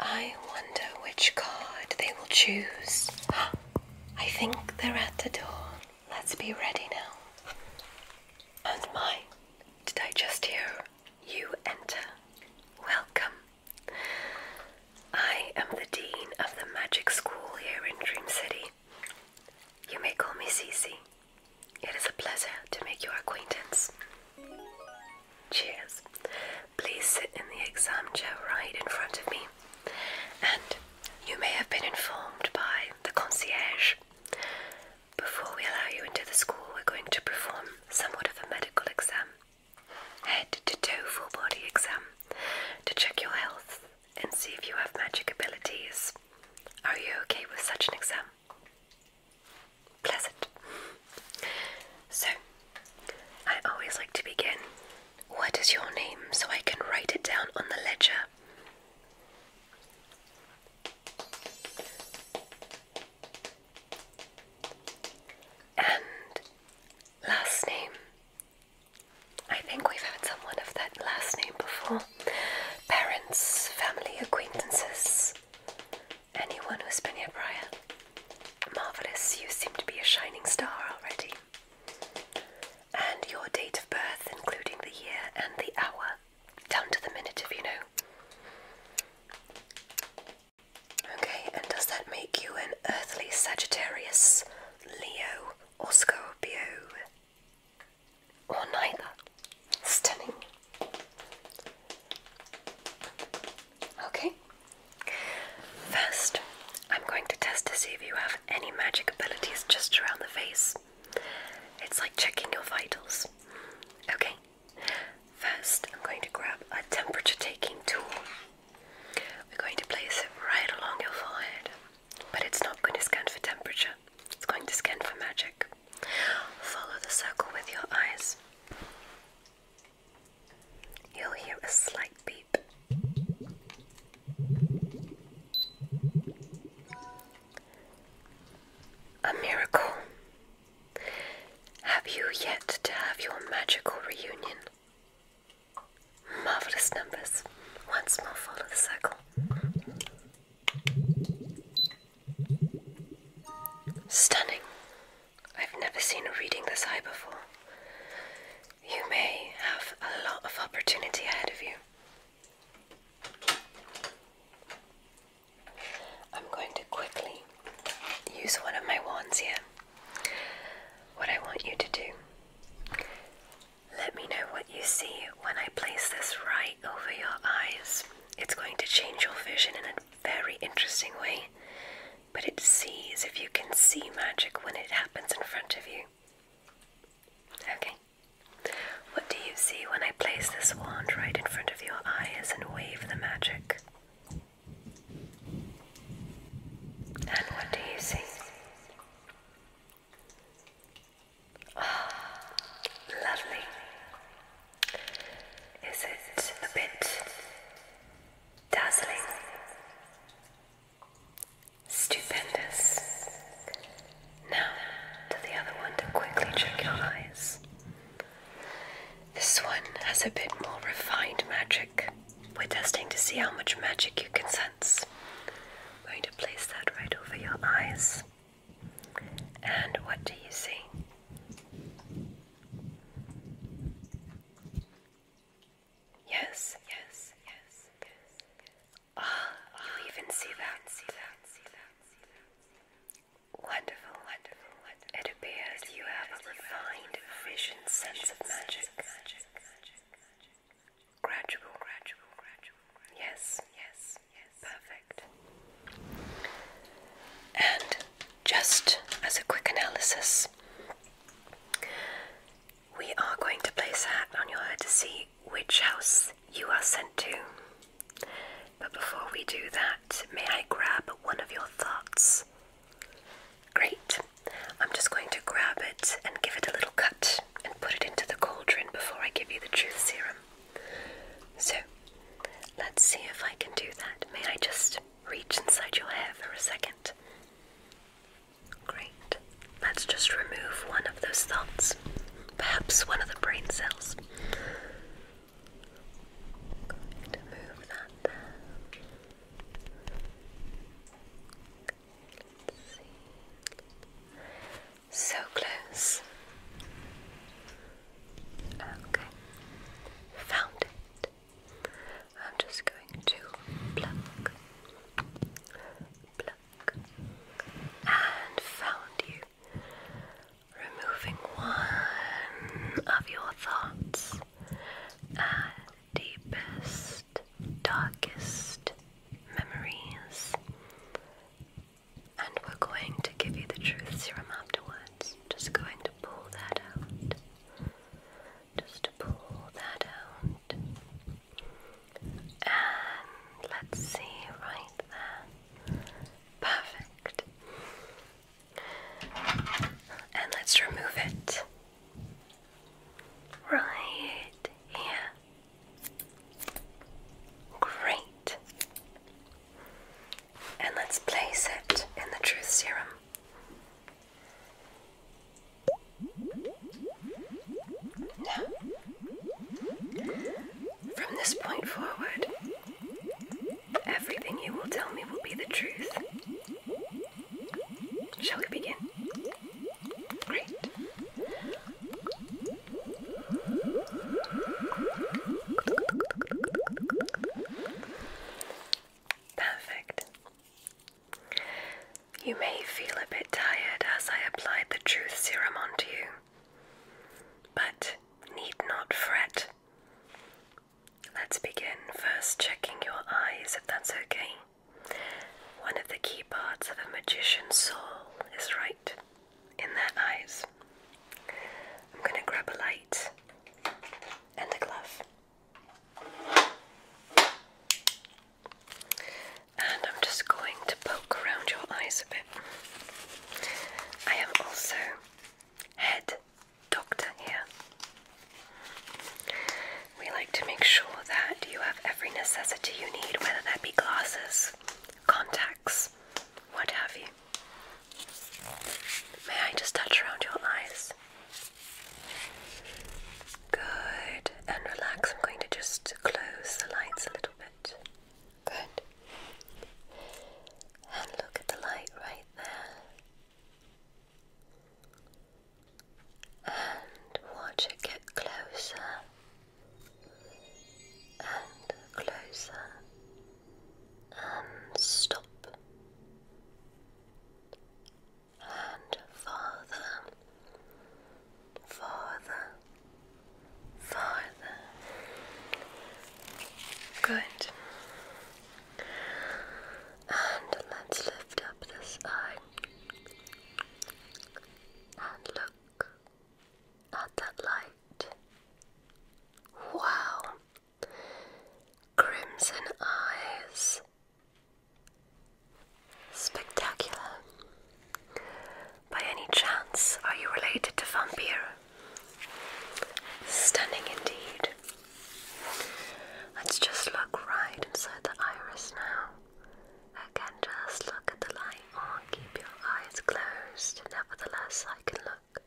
I wonder which card they will choose. <gasps> I think they're at the door. Let's be ready now. And mine. Did I just hear you enter? Welcome I am the Dean of the Magic School here in Dream City. You may call me Cece. It is a pleasure to make your acquaintance. Cheers. Please sit in the exam chair right in front of me. And you may have been informed by the concierge. Before we allow you into the school, we're going to perform somewhat of a medical exam. Head to do full body exam to check your health and see if you have magic abilities. Are you okay with such an exam? Pleasant. So, I always like to begin. What is your name so I can write it down on the ledger? And last name. I think we've had someone of that last name before. Parents, family, acquaintances, anyone who's been here prior. Marvellous, you seem to be a shining star already. And your date of birth, including the year and the hour, down to the minute if you know. Okay, and does that make you an earthly Sagittarius, Leo, or Scorpio? Or neither? Stunning. Okay. First, I'm going to test to see if you have any magic abilities just around the face. It's like checking your vitals. Okay. First, I'm going to grab a temperature taking tool. We're going to place it right along your forehead, but it's not going to scan for temperature, it's going to scan for magic. Follow the circle with your eyes. You'll hear a slight beep. A miracle. Have you yet to have your magical reunion? Marvelous numbers. one small more, of the circle. Stunning. I've never seen a reading this high before. You may have a lot of opportunity ahead of you. I'm going to quickly use one of my wands here. What I want you to do, let me know what you see when I place this right over your eyes. It's going to change your vision in a very interesting way, but it sees if you can see magic when it happens in front of you. Okay. What do you see when I place this wand right in front of your eyes and wave the magic? And what do you see? Oh, lovely. Is it a bit dazzling? Stupendous. Now, to the other one to quickly check your eyes. This one has a bit more refined magic. We're testing to see how much magic you can sense. I'm going to place that right over your eyes. And what do you see? Yes, yes, yes, yes. Ah, you even see that, wonderful, wonderful. It appears you have a refined vision sense of magic. Gradual, Yes, yes, yes. Perfect. And just as a quick analysis, we are going to place a hat on your head to see which house you are sent to. But before we do that, may I grab one of your thoughts Great. I'm just going to grab it and give it a little cut and put it into the cauldron before I give you the truth serum. So, let's see if I can do that. May I just reach inside your hair for a second? Great. Let's just remove one of those thoughts, perhaps one of the brain cells. I'm going to move that there. So close. Okay, found it. I'm just going to pluck, pluck, and found you. Removing one of your thoughts deepest, darkest memories. And we're going to give you the truth serum afterwards. Just going to pull that out. Just pull that out. And let's see right there. Perfect. And let's remove it. Right here. Great. And let's place it in the truth serum. from this point forward, everything you will tell me will be the truth. Shall we begin? Great. Perfect. You may feel a bit tired as I applied the truth serum onto you, but need not fret. Let's begin first checking your eyes if that's okay. One of the key parts of a magician's soul is right in their eyes. I'm going to grab a light and a glove. And I'm just going to poke around your eyes a bit. I am also head doctor here. We like to make sure that you have every necessity you need, whether that be glasses, contacts, what have you. May I just touch around your eyes? Good. And relax. I'm going to just close the lights a little bit. Good. And look at the light right there and watch it get closer and closer and stop and farther, farther, farther. Good. And let's lift up this eye and look at that light. Wow! Crimson eyes. Spectacular. By any chance, are you related to Vampire? Stunning indeed. Let's just look right inside the iris now. Again, just look at the light or oh, keep your eyes closed. Nevertheless, I can look.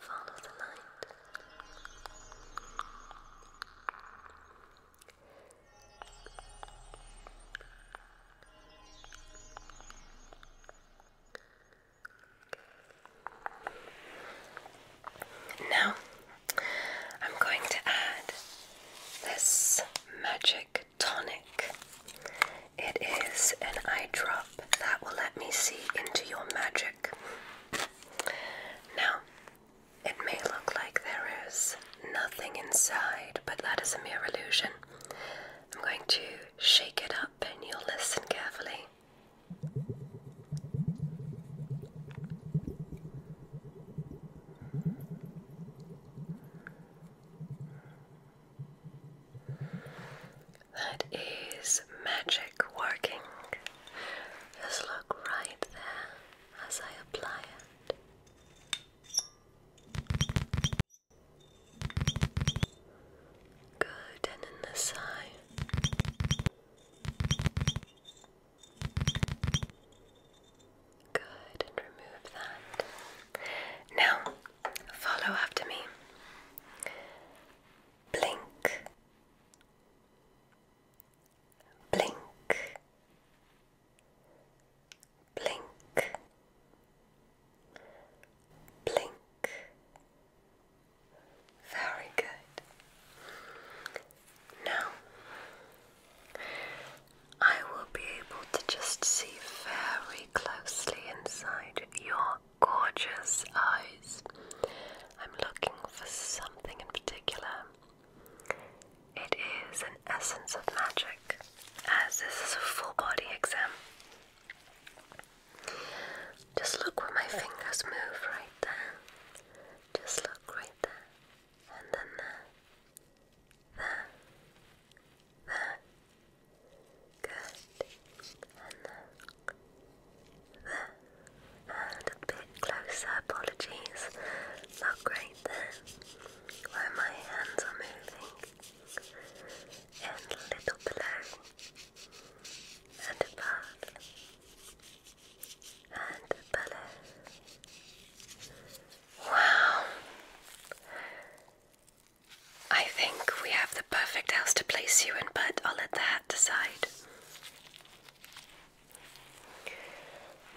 Follow the light. Now, I'm going to add this magic tonic. It is an eyedrop that will let me see into your magic. Now, it may look like there is nothing inside, but that is a mere illusion. I'm going to shake it up and you'll listen carefully. That is magic working. Just look right there as I apply it. Good, and in the side. Good, and remove that. Now, follow after me. Blink blink, blink, blink. Very good. Now, I will be able to just see very closely inside your gorgeous eyes. I'm looking for something in particular. It is an essence of magic, as this is a full body exam. Just look where my fingers move right there. Just look right there. And then there. There. There. Good. And then there a bit closer, apologies. Not great there, where my hands are moving, and a little below, and above, and below. Wow! I think we have the perfect house to place you in, but I'll let the hat decide.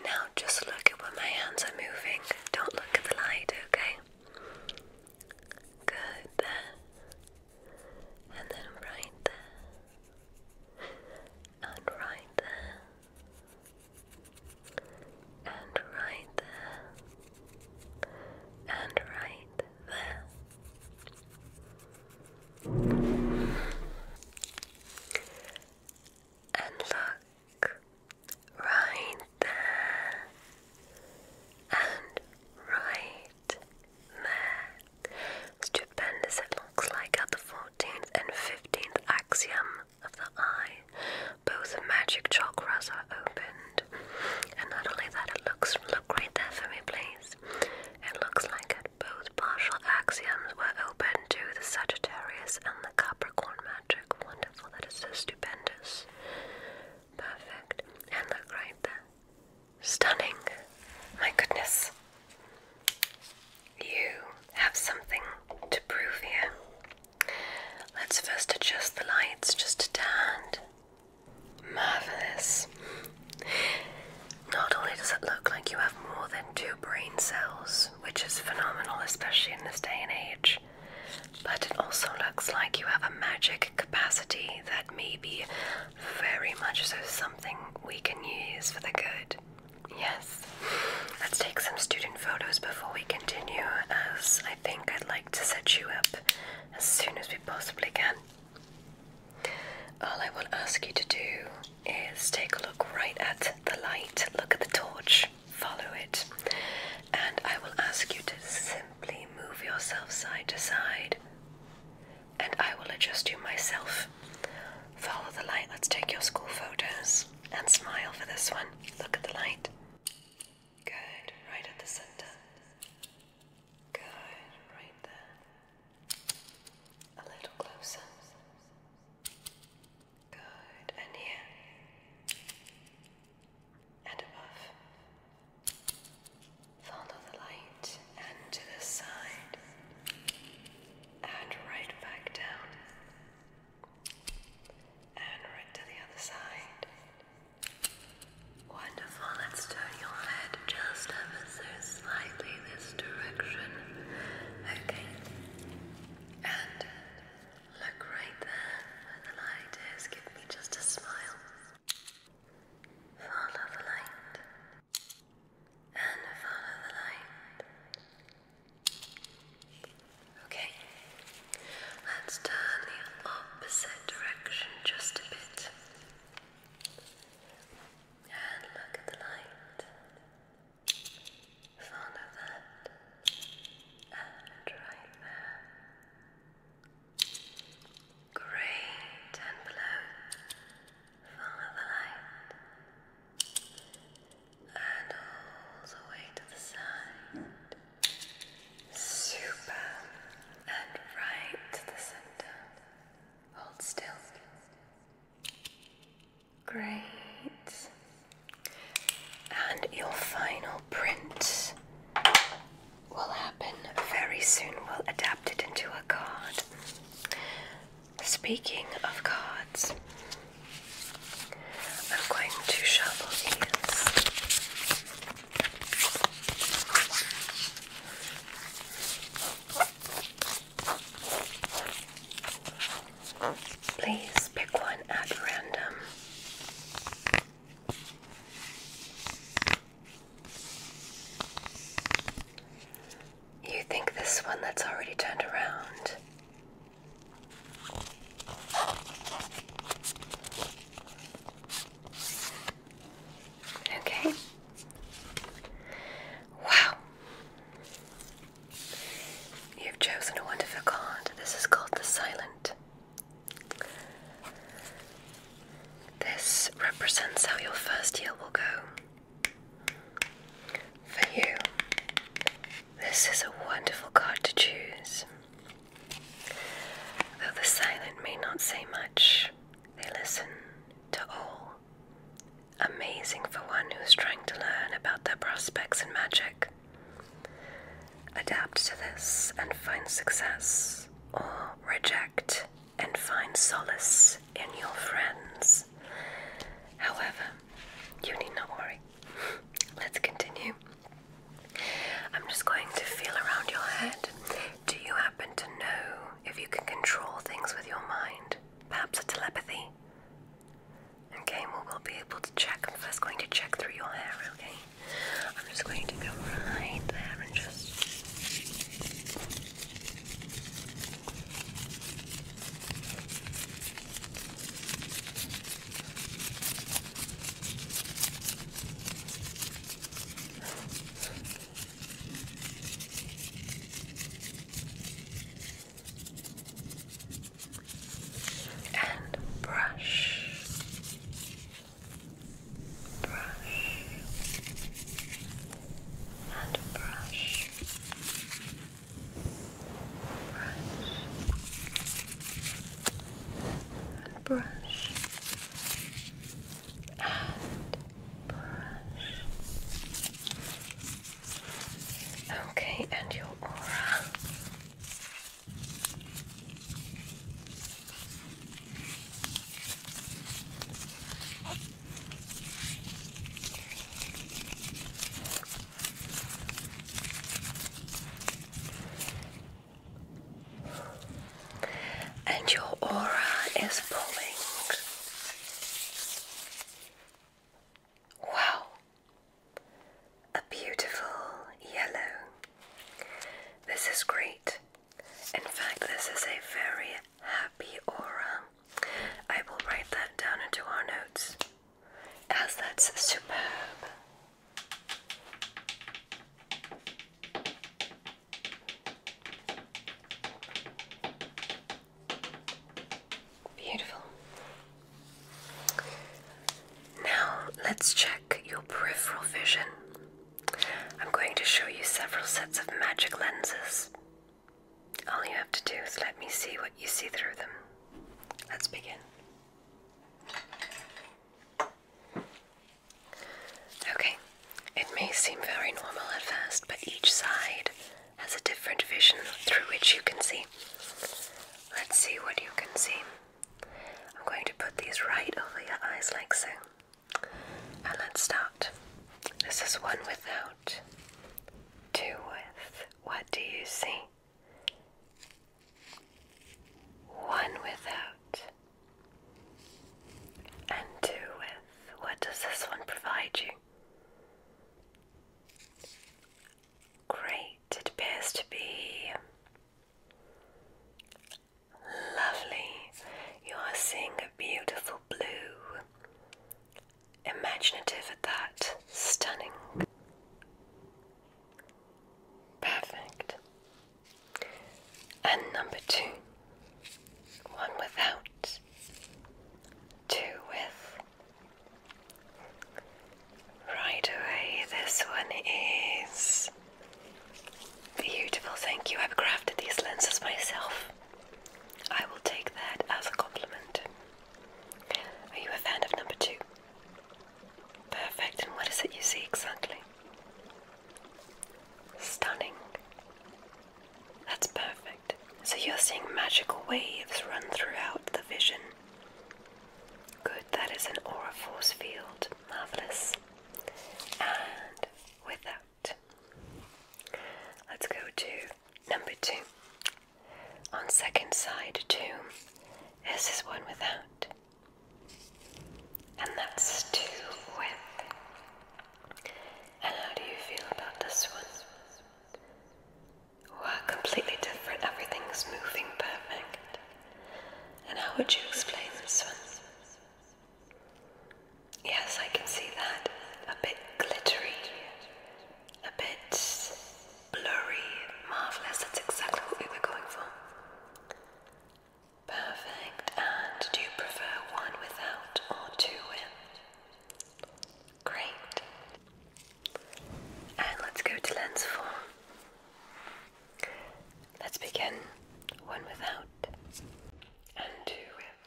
Now just look at where my hands are moving. Don't look at the light, okay? Good there. And then right there. And right there. And right there. And right there. And look right there and right there. Stupendous it looks like at the 14th and 15th axiom of the eye. Both magic chakras are opened. And not only that, it looks look right there for me, please. It looks like both partial axioms were open to the Sagittarius and the Capricorn magic. Wonderful, that is so stupendous. Perfect. And look there. Stunning. My goodness. You have something to prove here. Let's first adjust the lights just a tad. Marvelous. Not only does it look like you have more than two brain cells, which is phenomenal, especially in this day and age. But it also looks like you have a magic capacity that may be very much so something we can use for the good. Yes. Let's take some student photos before we continue, as I think I'd like to set you up as soon as we possibly can. All I will ask you to do is take a look right at the light, look at the torch, follow it, and I will ask you to simply move yourself side to side, and I will adjust you myself. Follow the light, let's take your school photos and smile for this one. Look at the light. Good, right at the center. Good, right there. A little closer. Good. And here. And above. Follow the light and to the side. And right back down. And right to the other side. Wonderful. Let's turn your head just ever so slightly this direction. Okay. And look right there where the light is. Give me just a smile. Follow the light. And follow the light. Okay. Let's turn the opposite direction just a bit. And look at the light front of that and right there. Great, and below. Follow the light. And all the way to the side. Super. And right to the center. Hold still. Great. And your final print will happen very soon. We'll adapt it into a card. Speaking of cards, I'm going to shuffle these. Please pick one at random. You think this one that's already turned around? Okay. Wow. You've chosen a wonderful card. This is called the Silent. This represents how your first year will go. For you, this is a wonderful card to choose. Though the silent may not say much, they listen to all Amazing for one who's trying to learn about their prospects in magic. Adapt to this and find success, or reject and find solace in your friends. However, you need not worry. <laughs> Let's continue. I'm just going to feel around your head. Do you happen to know if you can control things with your mind? Perhaps a telepathy? Okay, we'll be able to check. I'm first going to check through your hair, okay? I'm just going to go right there and just and brush, brush, and brush, brush, and brush, and brush. Okay, and your aura. And your aura is pulling. Wow! A beautiful yellow. This is great. In fact, this is a very happy aura. I will write that down into our notes as that's superb. Beautiful. Now let's check your peripheral vision. I'm going to show you several sets of magic lenses. All you have to do is let me see what you see through them. Let's begin. Okay, it may seem very normal at first, but each side has a different vision through which you can see. Let's see what you can see. I'm going to put these right over your eyes like so. And let's start. This is one without, two with. What do you see? One without, and two with. What does this one provide you? Great. It appears to be lovely. You are seeing a beautiful blue. Imaginative at that. Stunning. Perfect. And number two. One without, two with, Right away, this one is beautiful. Thank you. I've crafted these lenses myself. I will take that as a compliment. Are you a fan of number two? Perfect. And what is it you see exactly? Stunning. That's perfect. So you're seeing magical waves run throughout the vision. Good, that is an aura force field. Marvellous. And with let's go to number two. On second side too, this is one without. And that's two with. And how do you feel about this one? We're completely different. Everything's moving perfect. And how would you explain this one? Yes, I can see that. A bit glittery, a bit blurry, marvelous. That's exactly what we were going for. Perfect. And do you prefer one without or two with? Great. And let's go to lens four. Let's begin one without and two with.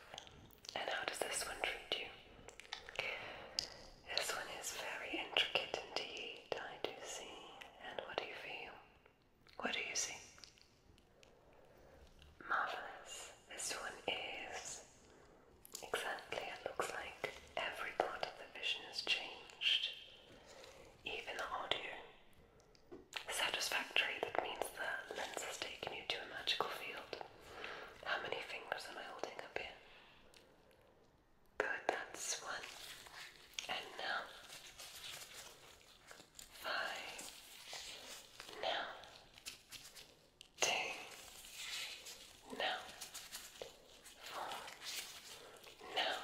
And how does this one treat you? This one is very intricate indeed, I do see. And what do you feel? What do you see? Marvelous. This one is Exactly, it looks like every part of the vision has changed. Even the audio. Satisfactory, that means the lens has taken you to a magical field. How many fingers am I holding up here? Good, that's one. And now. Five. Now two, now, four, now,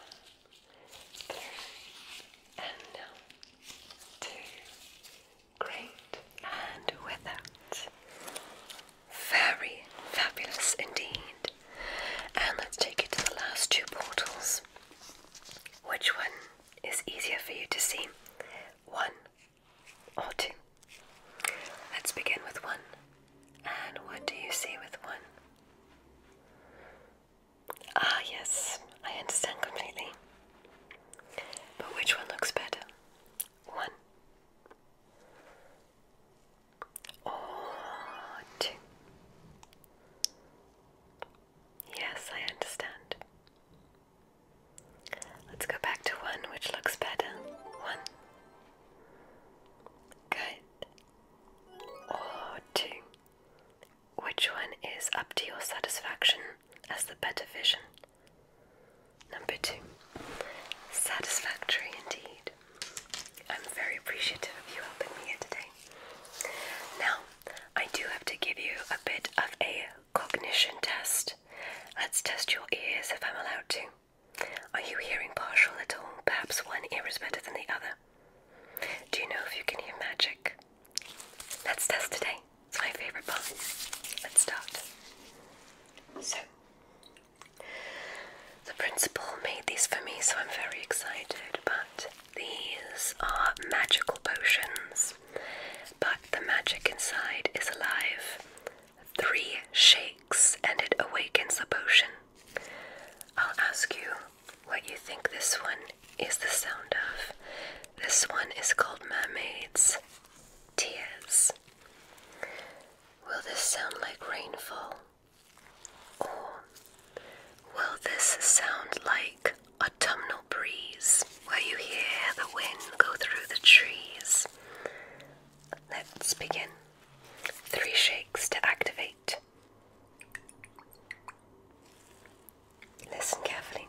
three, and now, two. Great, and with very fabulous indeed. And let's take it to the last two portals. Which one is easier for you to see? One or two. Let's begin with one. And what do you see with one? Ah, yes, I understand completely. But which one looks better? One or two? Yes, I understand. Let's go back to one, which looks better. One Good. Or two. Which one is up to your satisfaction as the better vision? Number two. Satisfactory indeed. I'm very appreciative of you helping me today. Now, I do have to give you a bit of a cognition test. Let's test your ears if I'm allowed to. Are you hearing partial at all? Perhaps one ear is better than the other. Do you know if you can hear magic? Let's test today. It's my favorite part. Let's start. So, the principal made these for me, so I'm very excited. But these are magical potions, but the magic inside is alive three shakes and it awakens the potion. I'll ask you what you think this one is the sound of. This one is called Mermaid's Tears. Will this sound like rainfall? Or will this sound like autumnal breeze where you hear the wind go through the trees? Let's begin. Three shakes to activate. Listen carefully.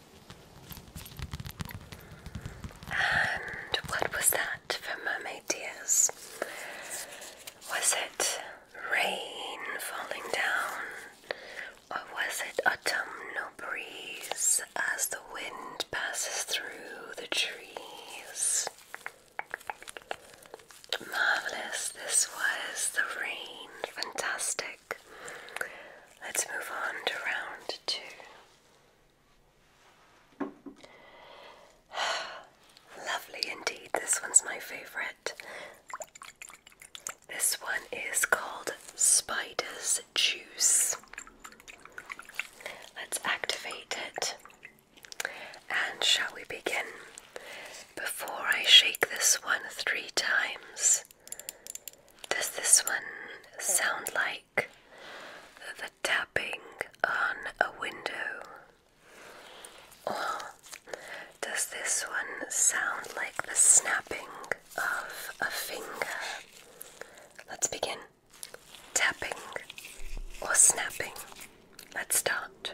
And what was that for mermaid tears? Was it rain falling down? Or was it autumnal breeze as the wind passes through the trees? Marvelous, this was the rain. Fantastic. Let's move on to round two. <sighs> Lovely indeed. This one's my favorite. This one is called Spider's Juice. Let's activate it. And shall we begin? Before I shake this one three times, does this one sound like the tapping on a window? Or does this one sound like the snapping of a finger? Let's begin. Tapping or snapping. Let's start.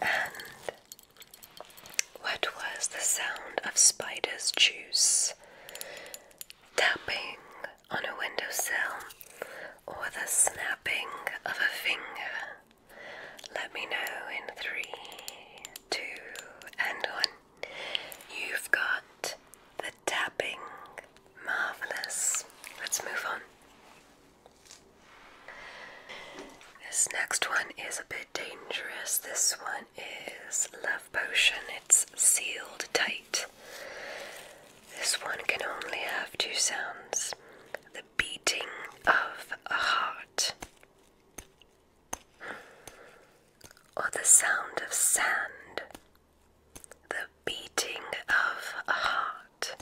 And what was the sound of spider's juice tapping on a windowsill or the snapping of a finger? Let me know in three, two, and one. You've got the tapping. Marvelous. Let's move on. This next one is a bit dangerous. This one is Love Potion. It's sealed tight. This one can only have two sounds the beating of a heart or the sound of sand, the beating of a heart,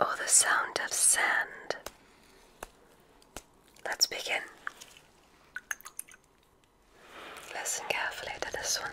or the sound of sand. Let's begin. Listen carefully to this one.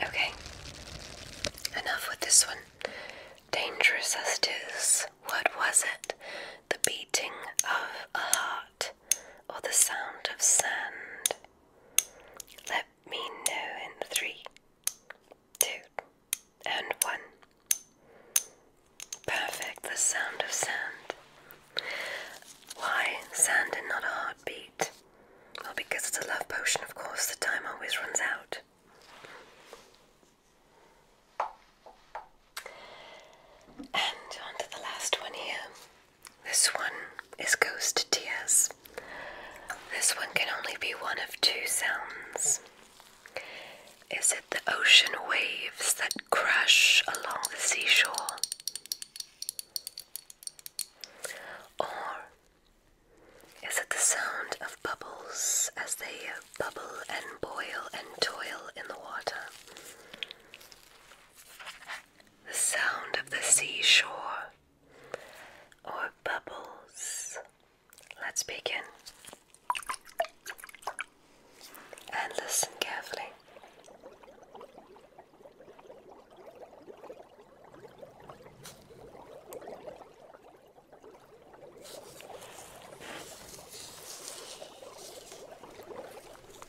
Okay, enough with this one. Dangerous as it is, what was it? The beating of a heart or the sound of sand. Let me know in three, two, and one. Perfect, the sound of sand. Why sand and not a heartbeat? Well, because it's a love potion, of course, the time always runs out. And on to the last one here. This one is Ghost Tears. This one can only be one of two sounds. Is it the ocean waves that crash along the seashore? Or is it the sound of bubbles as they bubble and boil and toil in the water? the sound of the seashore or bubbles. Let's begin and listen carefully.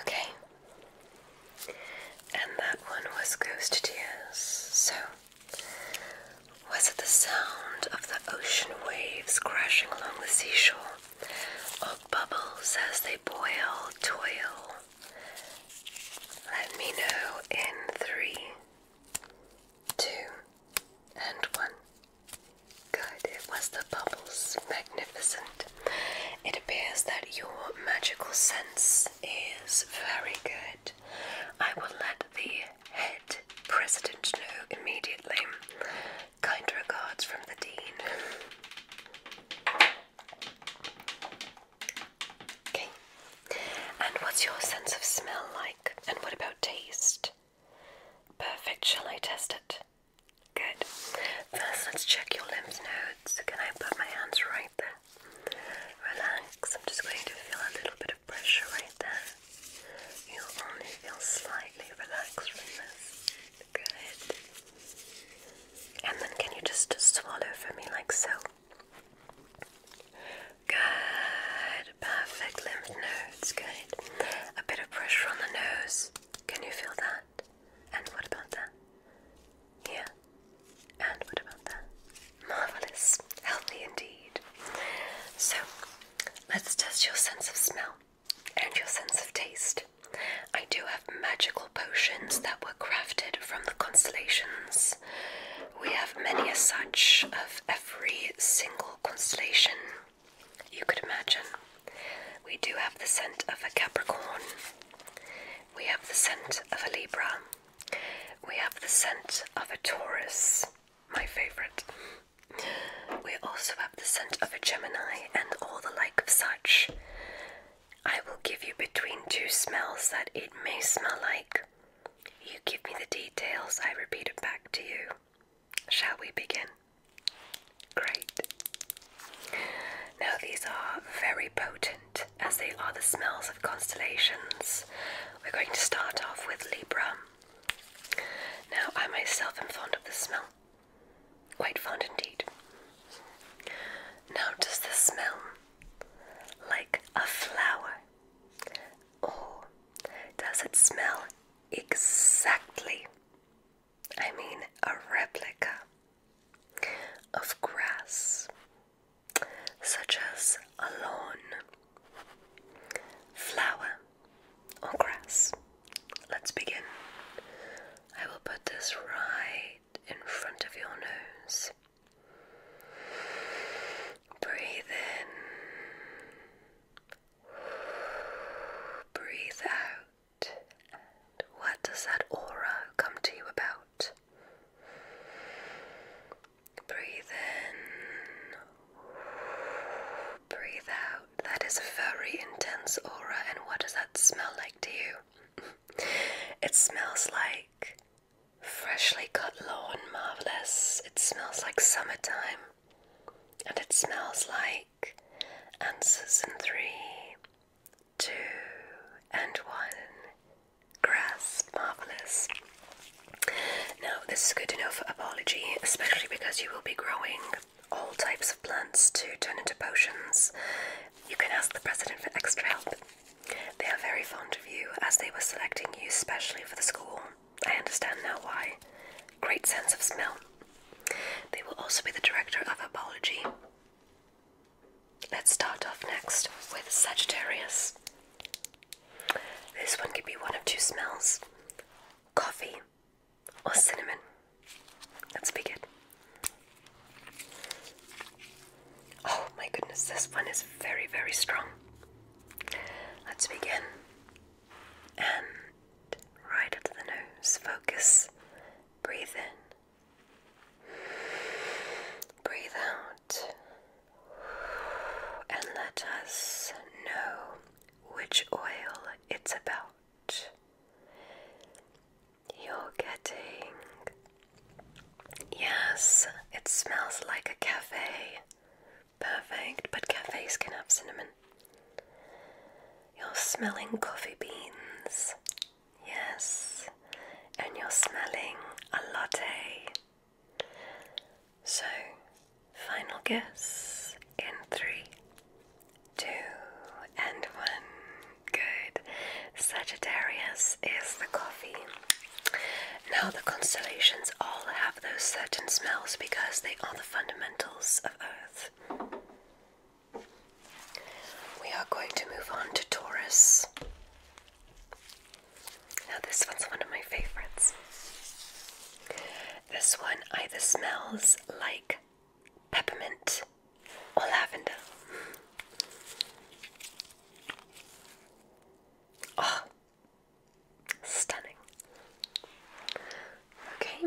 Okay, and that one was Ghost Tears. So, was it the sound of the ocean waves crashing along the seashore, or bubbles as they boil, toil? Let me know in three, Two and one. Good, it was the bubbles. Magnificent. It appears that your magical sense is very good. I will let the head president know immediately. Kind regards from the Dean. Okay. And what's your sense of smell like? And what about taste? Perfect. Shall I test it? Good. First, let's check your lymph nodes. Can I put my hands right there? Relax. I'm just going to feel a little bit of pressure right there. You'll only feel slightly relaxed from this. Good. And then, can you just swallow for me like so? Good. Perfect lymph nodes. Good. A bit of pressure on the nose. Can you feel that? And what about that? Yeah. And what about that? Marvelous. Healthy indeed. So, let's test your sense of smell and your sense of taste. I do have magical potions that were crafted from the constellations. We have many as such of every single constellation you could imagine. We do have the scent of a Capricorn, we have the scent of a Libra, we have the scent of a Taurus, my favorite. We also have the scent of a Gemini and all the like of such. I will give you between two smells that it may smell like you give me the details, I repeat it back to you. Shall we begin? Great. Now, these are very potent as they are the smells of constellations. We're going to start off with Libra. Now, I myself am fond of the smell. Quite fond indeed. Now, does this smell like a flower Oh, does it smell exactly? I mean, a replica of grass, such as a lawn, flower, or grass. Let's begin. I will put this right in front of your nose. Breathe in. Breathe out. what does that aura come to you about? Breathe in. Breathe out. That is a very intense aura. And what does that smell like to you? <laughs> it smells like Freshly cut lawn, marvellous. It smells like summertime. And it smells like answers in three, two, and one. Grass, marvellous. Now, this is good enough for apology, especially because you will be growing all types of plants to turn into potions. You can ask the president for extra help. They are very fond of you as they were selecting you specially for the school. I understand now why. Great sense of smell. They will also be the director of apology. Let's start off next with Sagittarius. This one could be one of two smells coffee or cinnamon. Let's begin. Oh my goodness, this one is very, very strong. Let's begin. And right into the nose, focus. Breathe in. Breathe out. And let us know which oil it's about. You're getting Yes, it smells like a cafe. Perfect, but cafes can have cinnamon. You're smelling coffee beans. Yes, and you're smelling a latte. So, final guess in three, two, and one. Good. Sagittarius is the coffee. Now, the constellations all have those certain smells because they are the fundamentals of Earth. We are going to move on to Taurus. Now, this one's one of my favorites. This one either smells like peppermint or lavender. Oh, Stunning. Okay,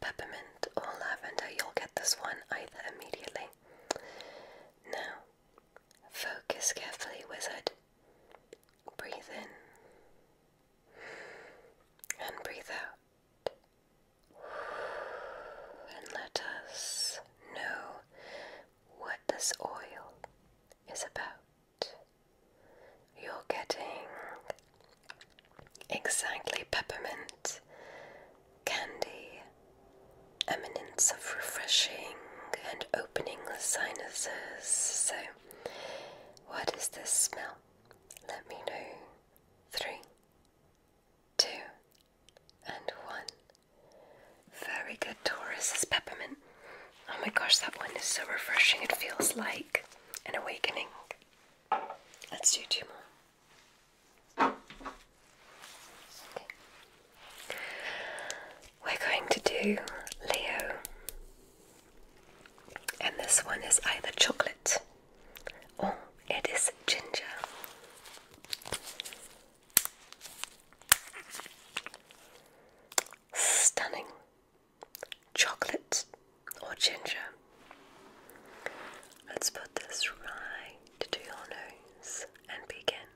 peppermint or lavender, you'll get this one either immediately. Now, focus carefully, wizard. Breathe in and breathe out. And let us know what this oil is about. You're getting exactly peppermint candy, eminence of refreshing and opening the sinuses. So, what is this smell? Let me know. Three, two, and one. Very good, Taurus is peppermint. Oh my gosh, that one is so refreshing. It feels like an awakening. Let's do two more. We're going to do Leo. And this one is either chocolate or it is ginger. Stunning. Chocolate or ginger. Let's put this right to your nose and begin.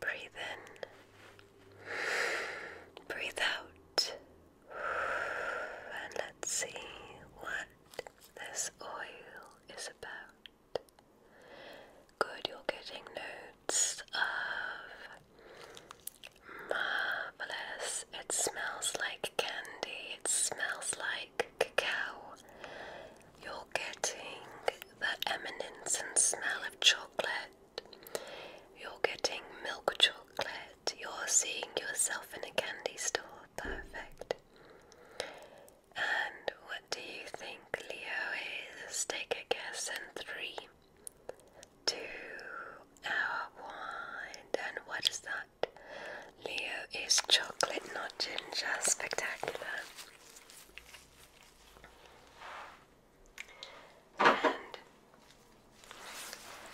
Breathe in, breathe out, and let's see what this oil is about. Good, you're getting notes of marvelous. It smells like candy, it smells like cacao. You're getting the eminence and smell of chocolate. You're getting milk chocolate. You're seeing yourself in a candy store. Perfect. And do you think Leo is? Take a guess in three, two, our one. And what is that? Leo is chocolate, not ginger. Spectacular. And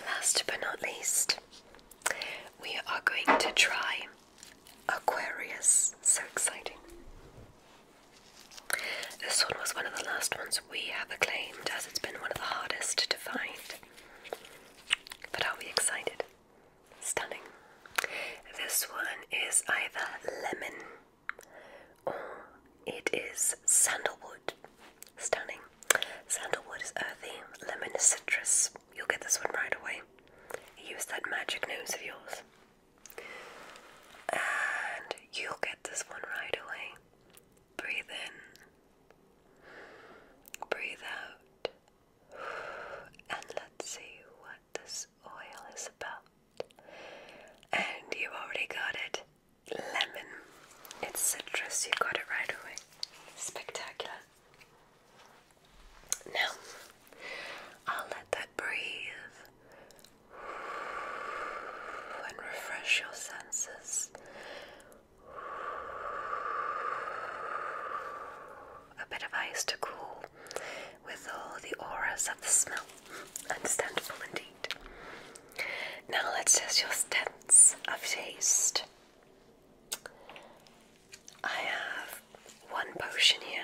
last but not least, we are going to try Aquarius. So exciting. This one was one of the last ones we have acclaimed as it's been one of the hardest to find. But are we excited? Stunning. This one is either lemon or it is sandalwood. Stunning. Sandalwood is earthy, lemon is citrus. You'll get this one right away. Use that magic nose of yours. And you get this one right away. Breathe in, breathe out, and let's see what this oil is about. And you already got it lemon. It's citrus, you got it right away. Spectacular. Now, I'll let that breathe and refresh your senses a bit of ice to cool with all the auras of the smell understandable indeed now let's test your sense of taste I have one potion here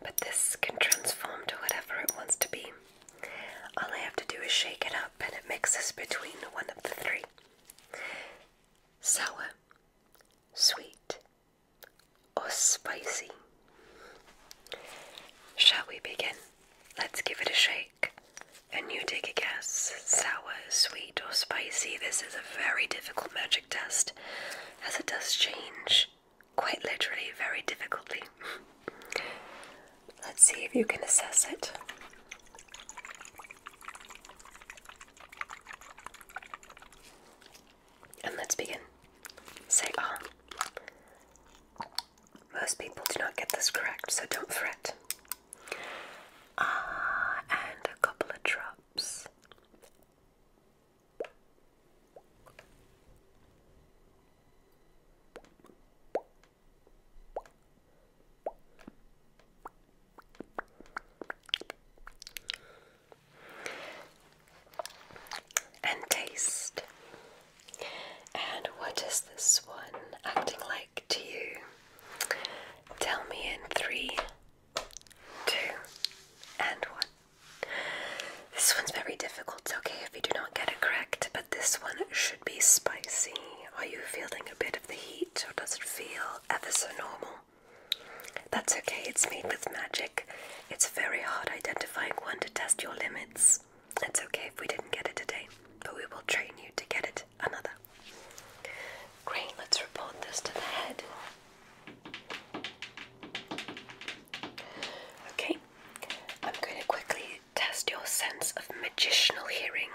but this can transform to whatever it wants to be. All I have to do is shake it up and it mixes between one of the three sour, sweet, or spicy. Shall we begin? Let's give it a shake. And you take a guess sour, sweet, or spicy. This is a very difficult magic test as it does change quite literally, very difficultly. Let's see if you can assess it. And let's begin. Say ah. Most people do not get this correct, so don't fret. Ah, and a couple of drops. And taste. And what is this one acting like to you? Tell me in three, two, and one. This one's very difficult, it's okay if you do not get it correct, but this one should be spicy. Are you feeling a bit of the heat, or does it feel ever so normal? That's okay, it's made with magic. It's very hard identifying one to test your limits. It's okay if we didn't get it today, but we will train you to get it another. Great, let's report this to the head. Okay, I'm going to quickly test your sense of magicianal hearing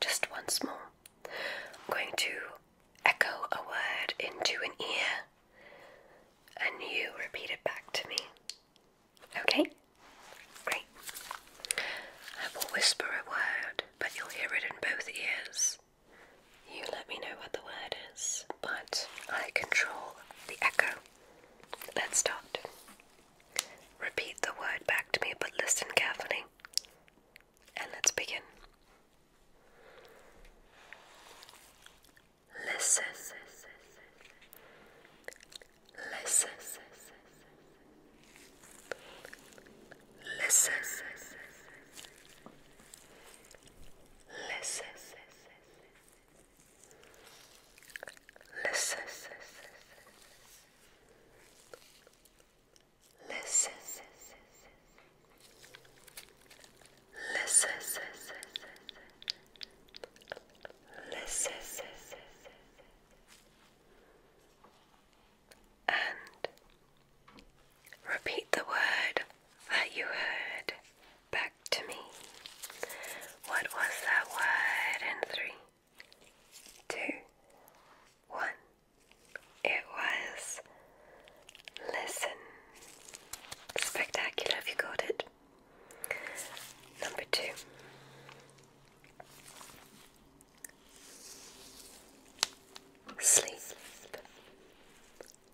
just once more. I'm going to echo a word into an ear and you repeat it back to me. Okay? Great. I will whisper a word, but you'll hear it in both ears. You let me know what the word is, but I control the echo. Let's start. Repeat the word back to me, but listen carefully. And let's begin. Listen. Listen. Listen. Listen. Listen. Listen. Listen. Listen. And repeat the word that you heard back to me. What was that word in three, two, one? It was listen. Spectacular if you got it. Number two. Sleep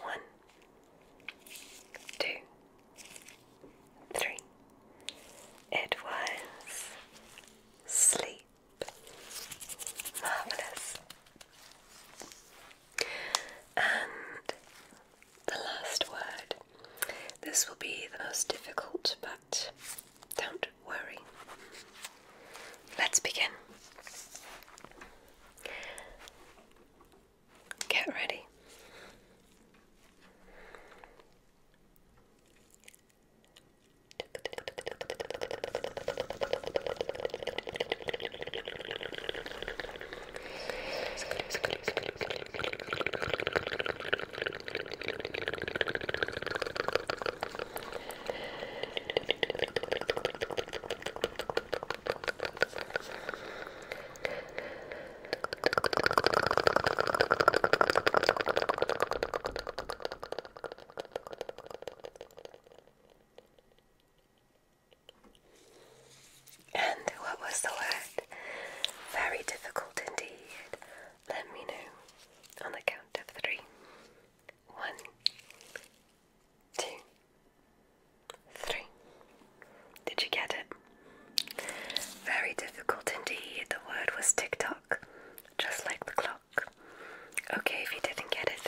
One, two, three. It was sleep. Marvellous. And the last word. This will be the most difficult, but don't worry. Let's begin. Get ready. Good. And what was the word? Very difficult indeed. Let me know on the count of three. One, two, three. Did you get it? Very difficult indeed. The word was tick just like the clock. Okay, if you didn't get it.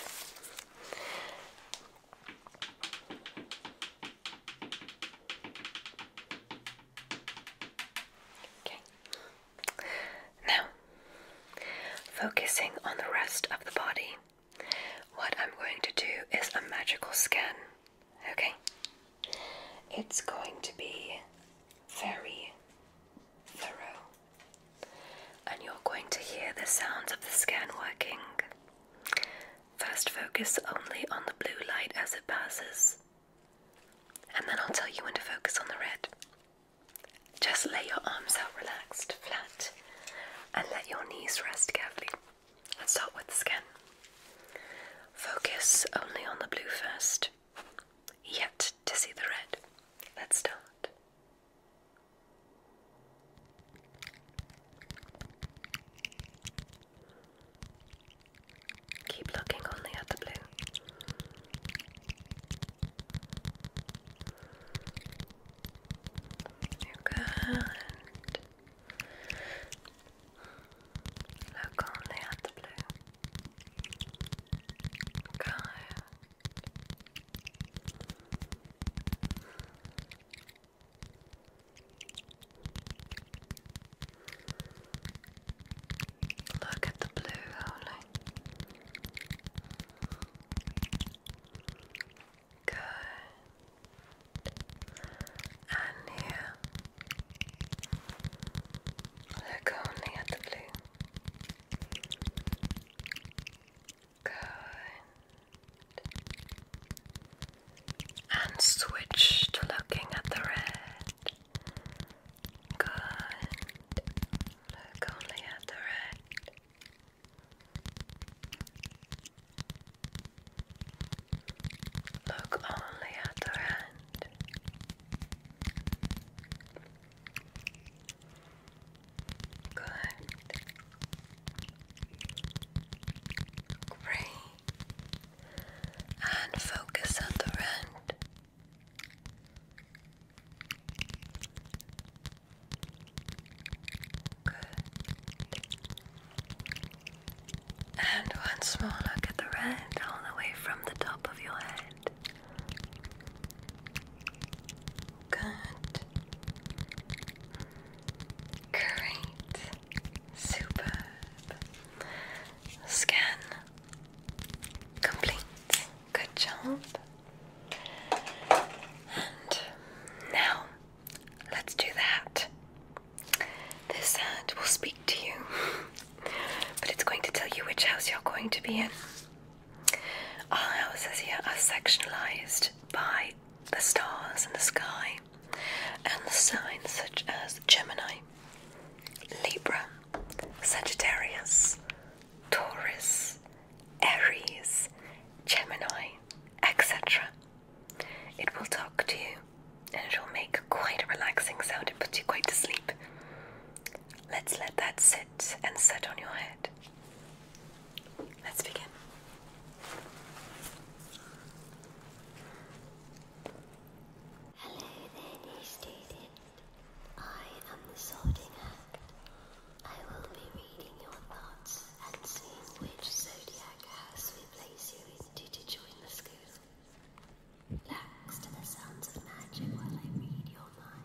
Okay. Now, focusing on the rest of the body. What I'm going to do is a magical scan, okay? It's going to be very thorough, and you're going to hear the sounds of the scan working. First, focus only on the blue light as it passes, and then I'll tell you when to focus on the red. Just lay your arms out relaxed, flat, and let your knees rest carefully. Let's start with the skin. Focus only on the blue first, yet to see the red. Let's start. Keep looking only at the blue. You're Look only at the blue. Good. Look at the blue only. Good. And here. Look only at the blue. Good. And switch to looking at the red. Good. Look only at the red. Look only at her hand. Good. Great. And focus on the hand. Good. And one small look at the red all the way from the top of your head. Good. Great. Superb. Scan. Complete. Good job. And now Let's do that. This hand will speak to you, but it's going to tell you which house you're going to be in. Our houses here are sectionalized by the stars and the sky and the signs such as Gemini, Libra, Sagittarius, Taurus, Aries, Gemini, etc. It will talk to you and it will make quite a relaxing sound. It puts you quite to sleep. Let's let that sit and set on your head. Let's begin. Hello there, new student. I am the sorting act. I will be reading your thoughts and seeing which zodiac house we place you into to join the school. Relax to the sounds of magic while I read your mind.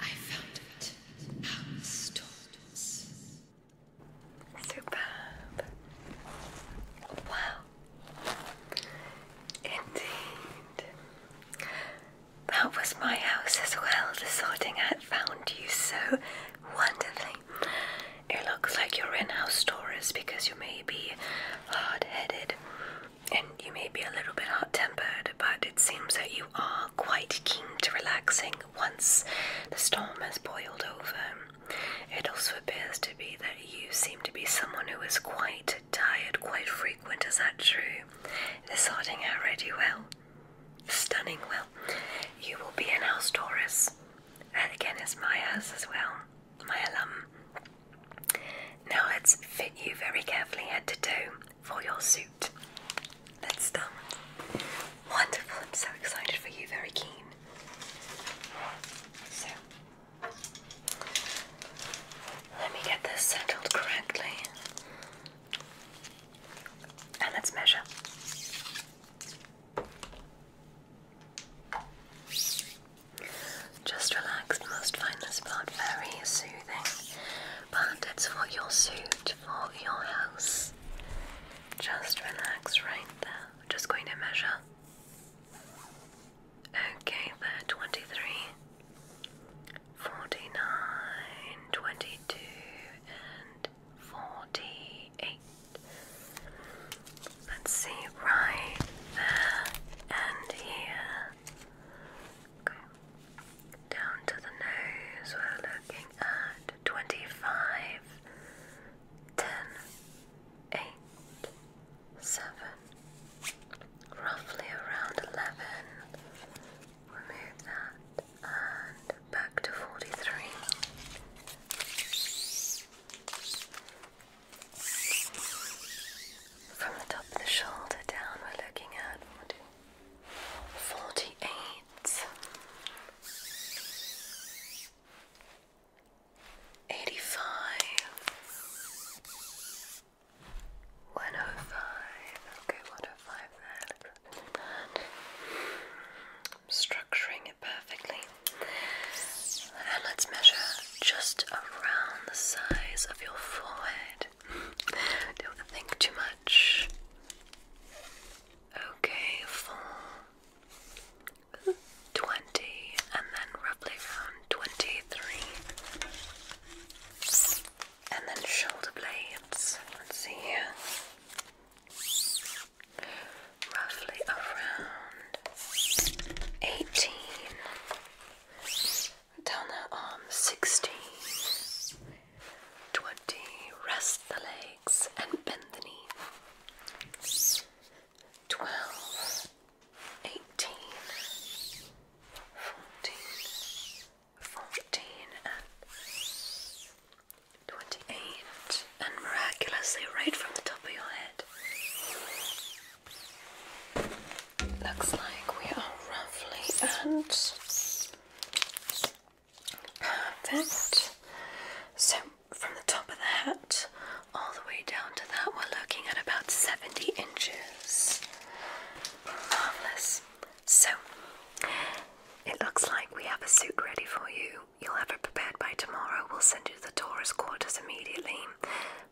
I found it. House tools. Superb. Wow. Indeed. That was my house as well. The sorting hat found you so wonderfully. It looks like you're in house Taurus because you may be hard headed and you may be a little bit hot tempered, but it seems that you are quite keen to relaxing once the storm has boiled over. It also appears to be that you seem to be someone who is quite tired quite frequent, is that true? They're sorting out ready well. Stunning well. You will be in house Taurus. and again is my house as well. My alum. Now let's fit you very carefully head to toe for your suit. Let's start. Wonderful, I'm so excited for you, very keen. So let me get this settled correctly. And let's measure. Just relaxed, most find this part very soothing, but it's for your suit, for your house. Just relax right there. Just going to measure. Okay, there, 23, 49, 22, and 48. Let's see, right there and here. Okay. Down to the nose, we're looking at 25, 10, eight, seven, roughly around eleven. Remove that and back to forty three. From the top of the shoulder down, we're looking at 48. 85 okay 105 there structuring it perfectly and let's measure just around the size of your forehead don't think too much okay four twenty, and then roughly around twenty-three. And then shoulder blades. Let's see here. Roughly around eighteen. Down the arm, sixteen. Twenty. Rest the legs and bend the knee twelve, eighteen, fourteen, fourteen, and twenty-eight, and miraculously right from the top of your head. Looks like we are roughly and perfect. So, from the top of the hat, all the way down to that, we're looking at about 70 inches. Marvellous. So, it looks like we have a suit ready for you. You'll have it prepared by tomorrow. We'll send you to the tourist quarters immediately.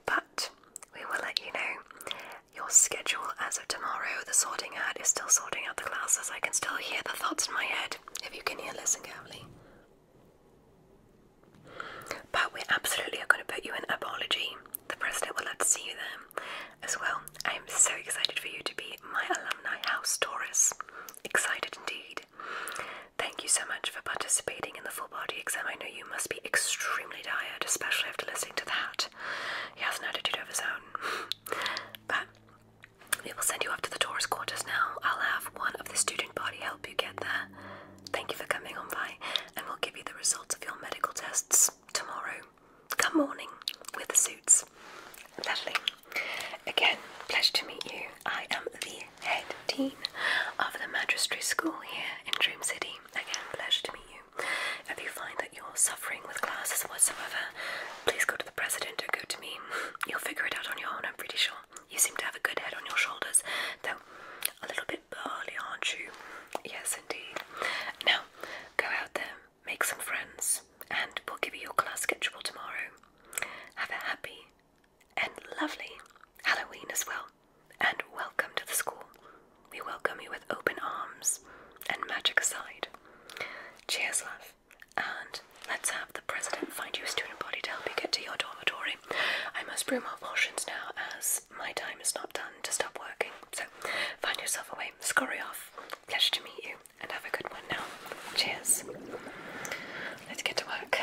But we will let you know your schedule as of tomorrow. The sorting hat is still sorting out the classes. I can still hear the thoughts in my head. If you can hear, listen carefully. But we absolutely are going to put you in apology. The president will love to see you there as well. I am so excited for you to be my alumni house Taurus. Excited indeed. Thank you so much for participating in the full body exam. I know you must be extremely tired, especially after listening to that. He has an attitude of his own. <laughs> but we will send you up to the Taurus quarters now. I'll have one of the student body help you get there. Thank you for coming on by, and we'll give you the results of your medical tests tomorrow. Come morning with the suits. Lovely. Again, pleasure to meet you. I am the head dean of the magistracy school here in Dream City. Again, pleasure to meet you. If you find that you're suffering with classes whatsoever, please go to the president or go to me. You'll figure it out on your own, I'm pretty sure. You seem to have a good head on your shoulders, though a little bit bit aren't you? Yes, indeed. Now, go out there, make some friends, and we'll give you your class schedule tomorrow. Have a happy and lovely Halloween as well, and welcome to the school. We welcome you with open arms and magic aside. Cheers, love, and let's have the president find you a student body to help you get to your dormitory. I must brew my potions now as my time is not done to stop working. So find yourself a way, scurry off. Pleasure to meet you, and have a good one now. Cheers. Let's get to work.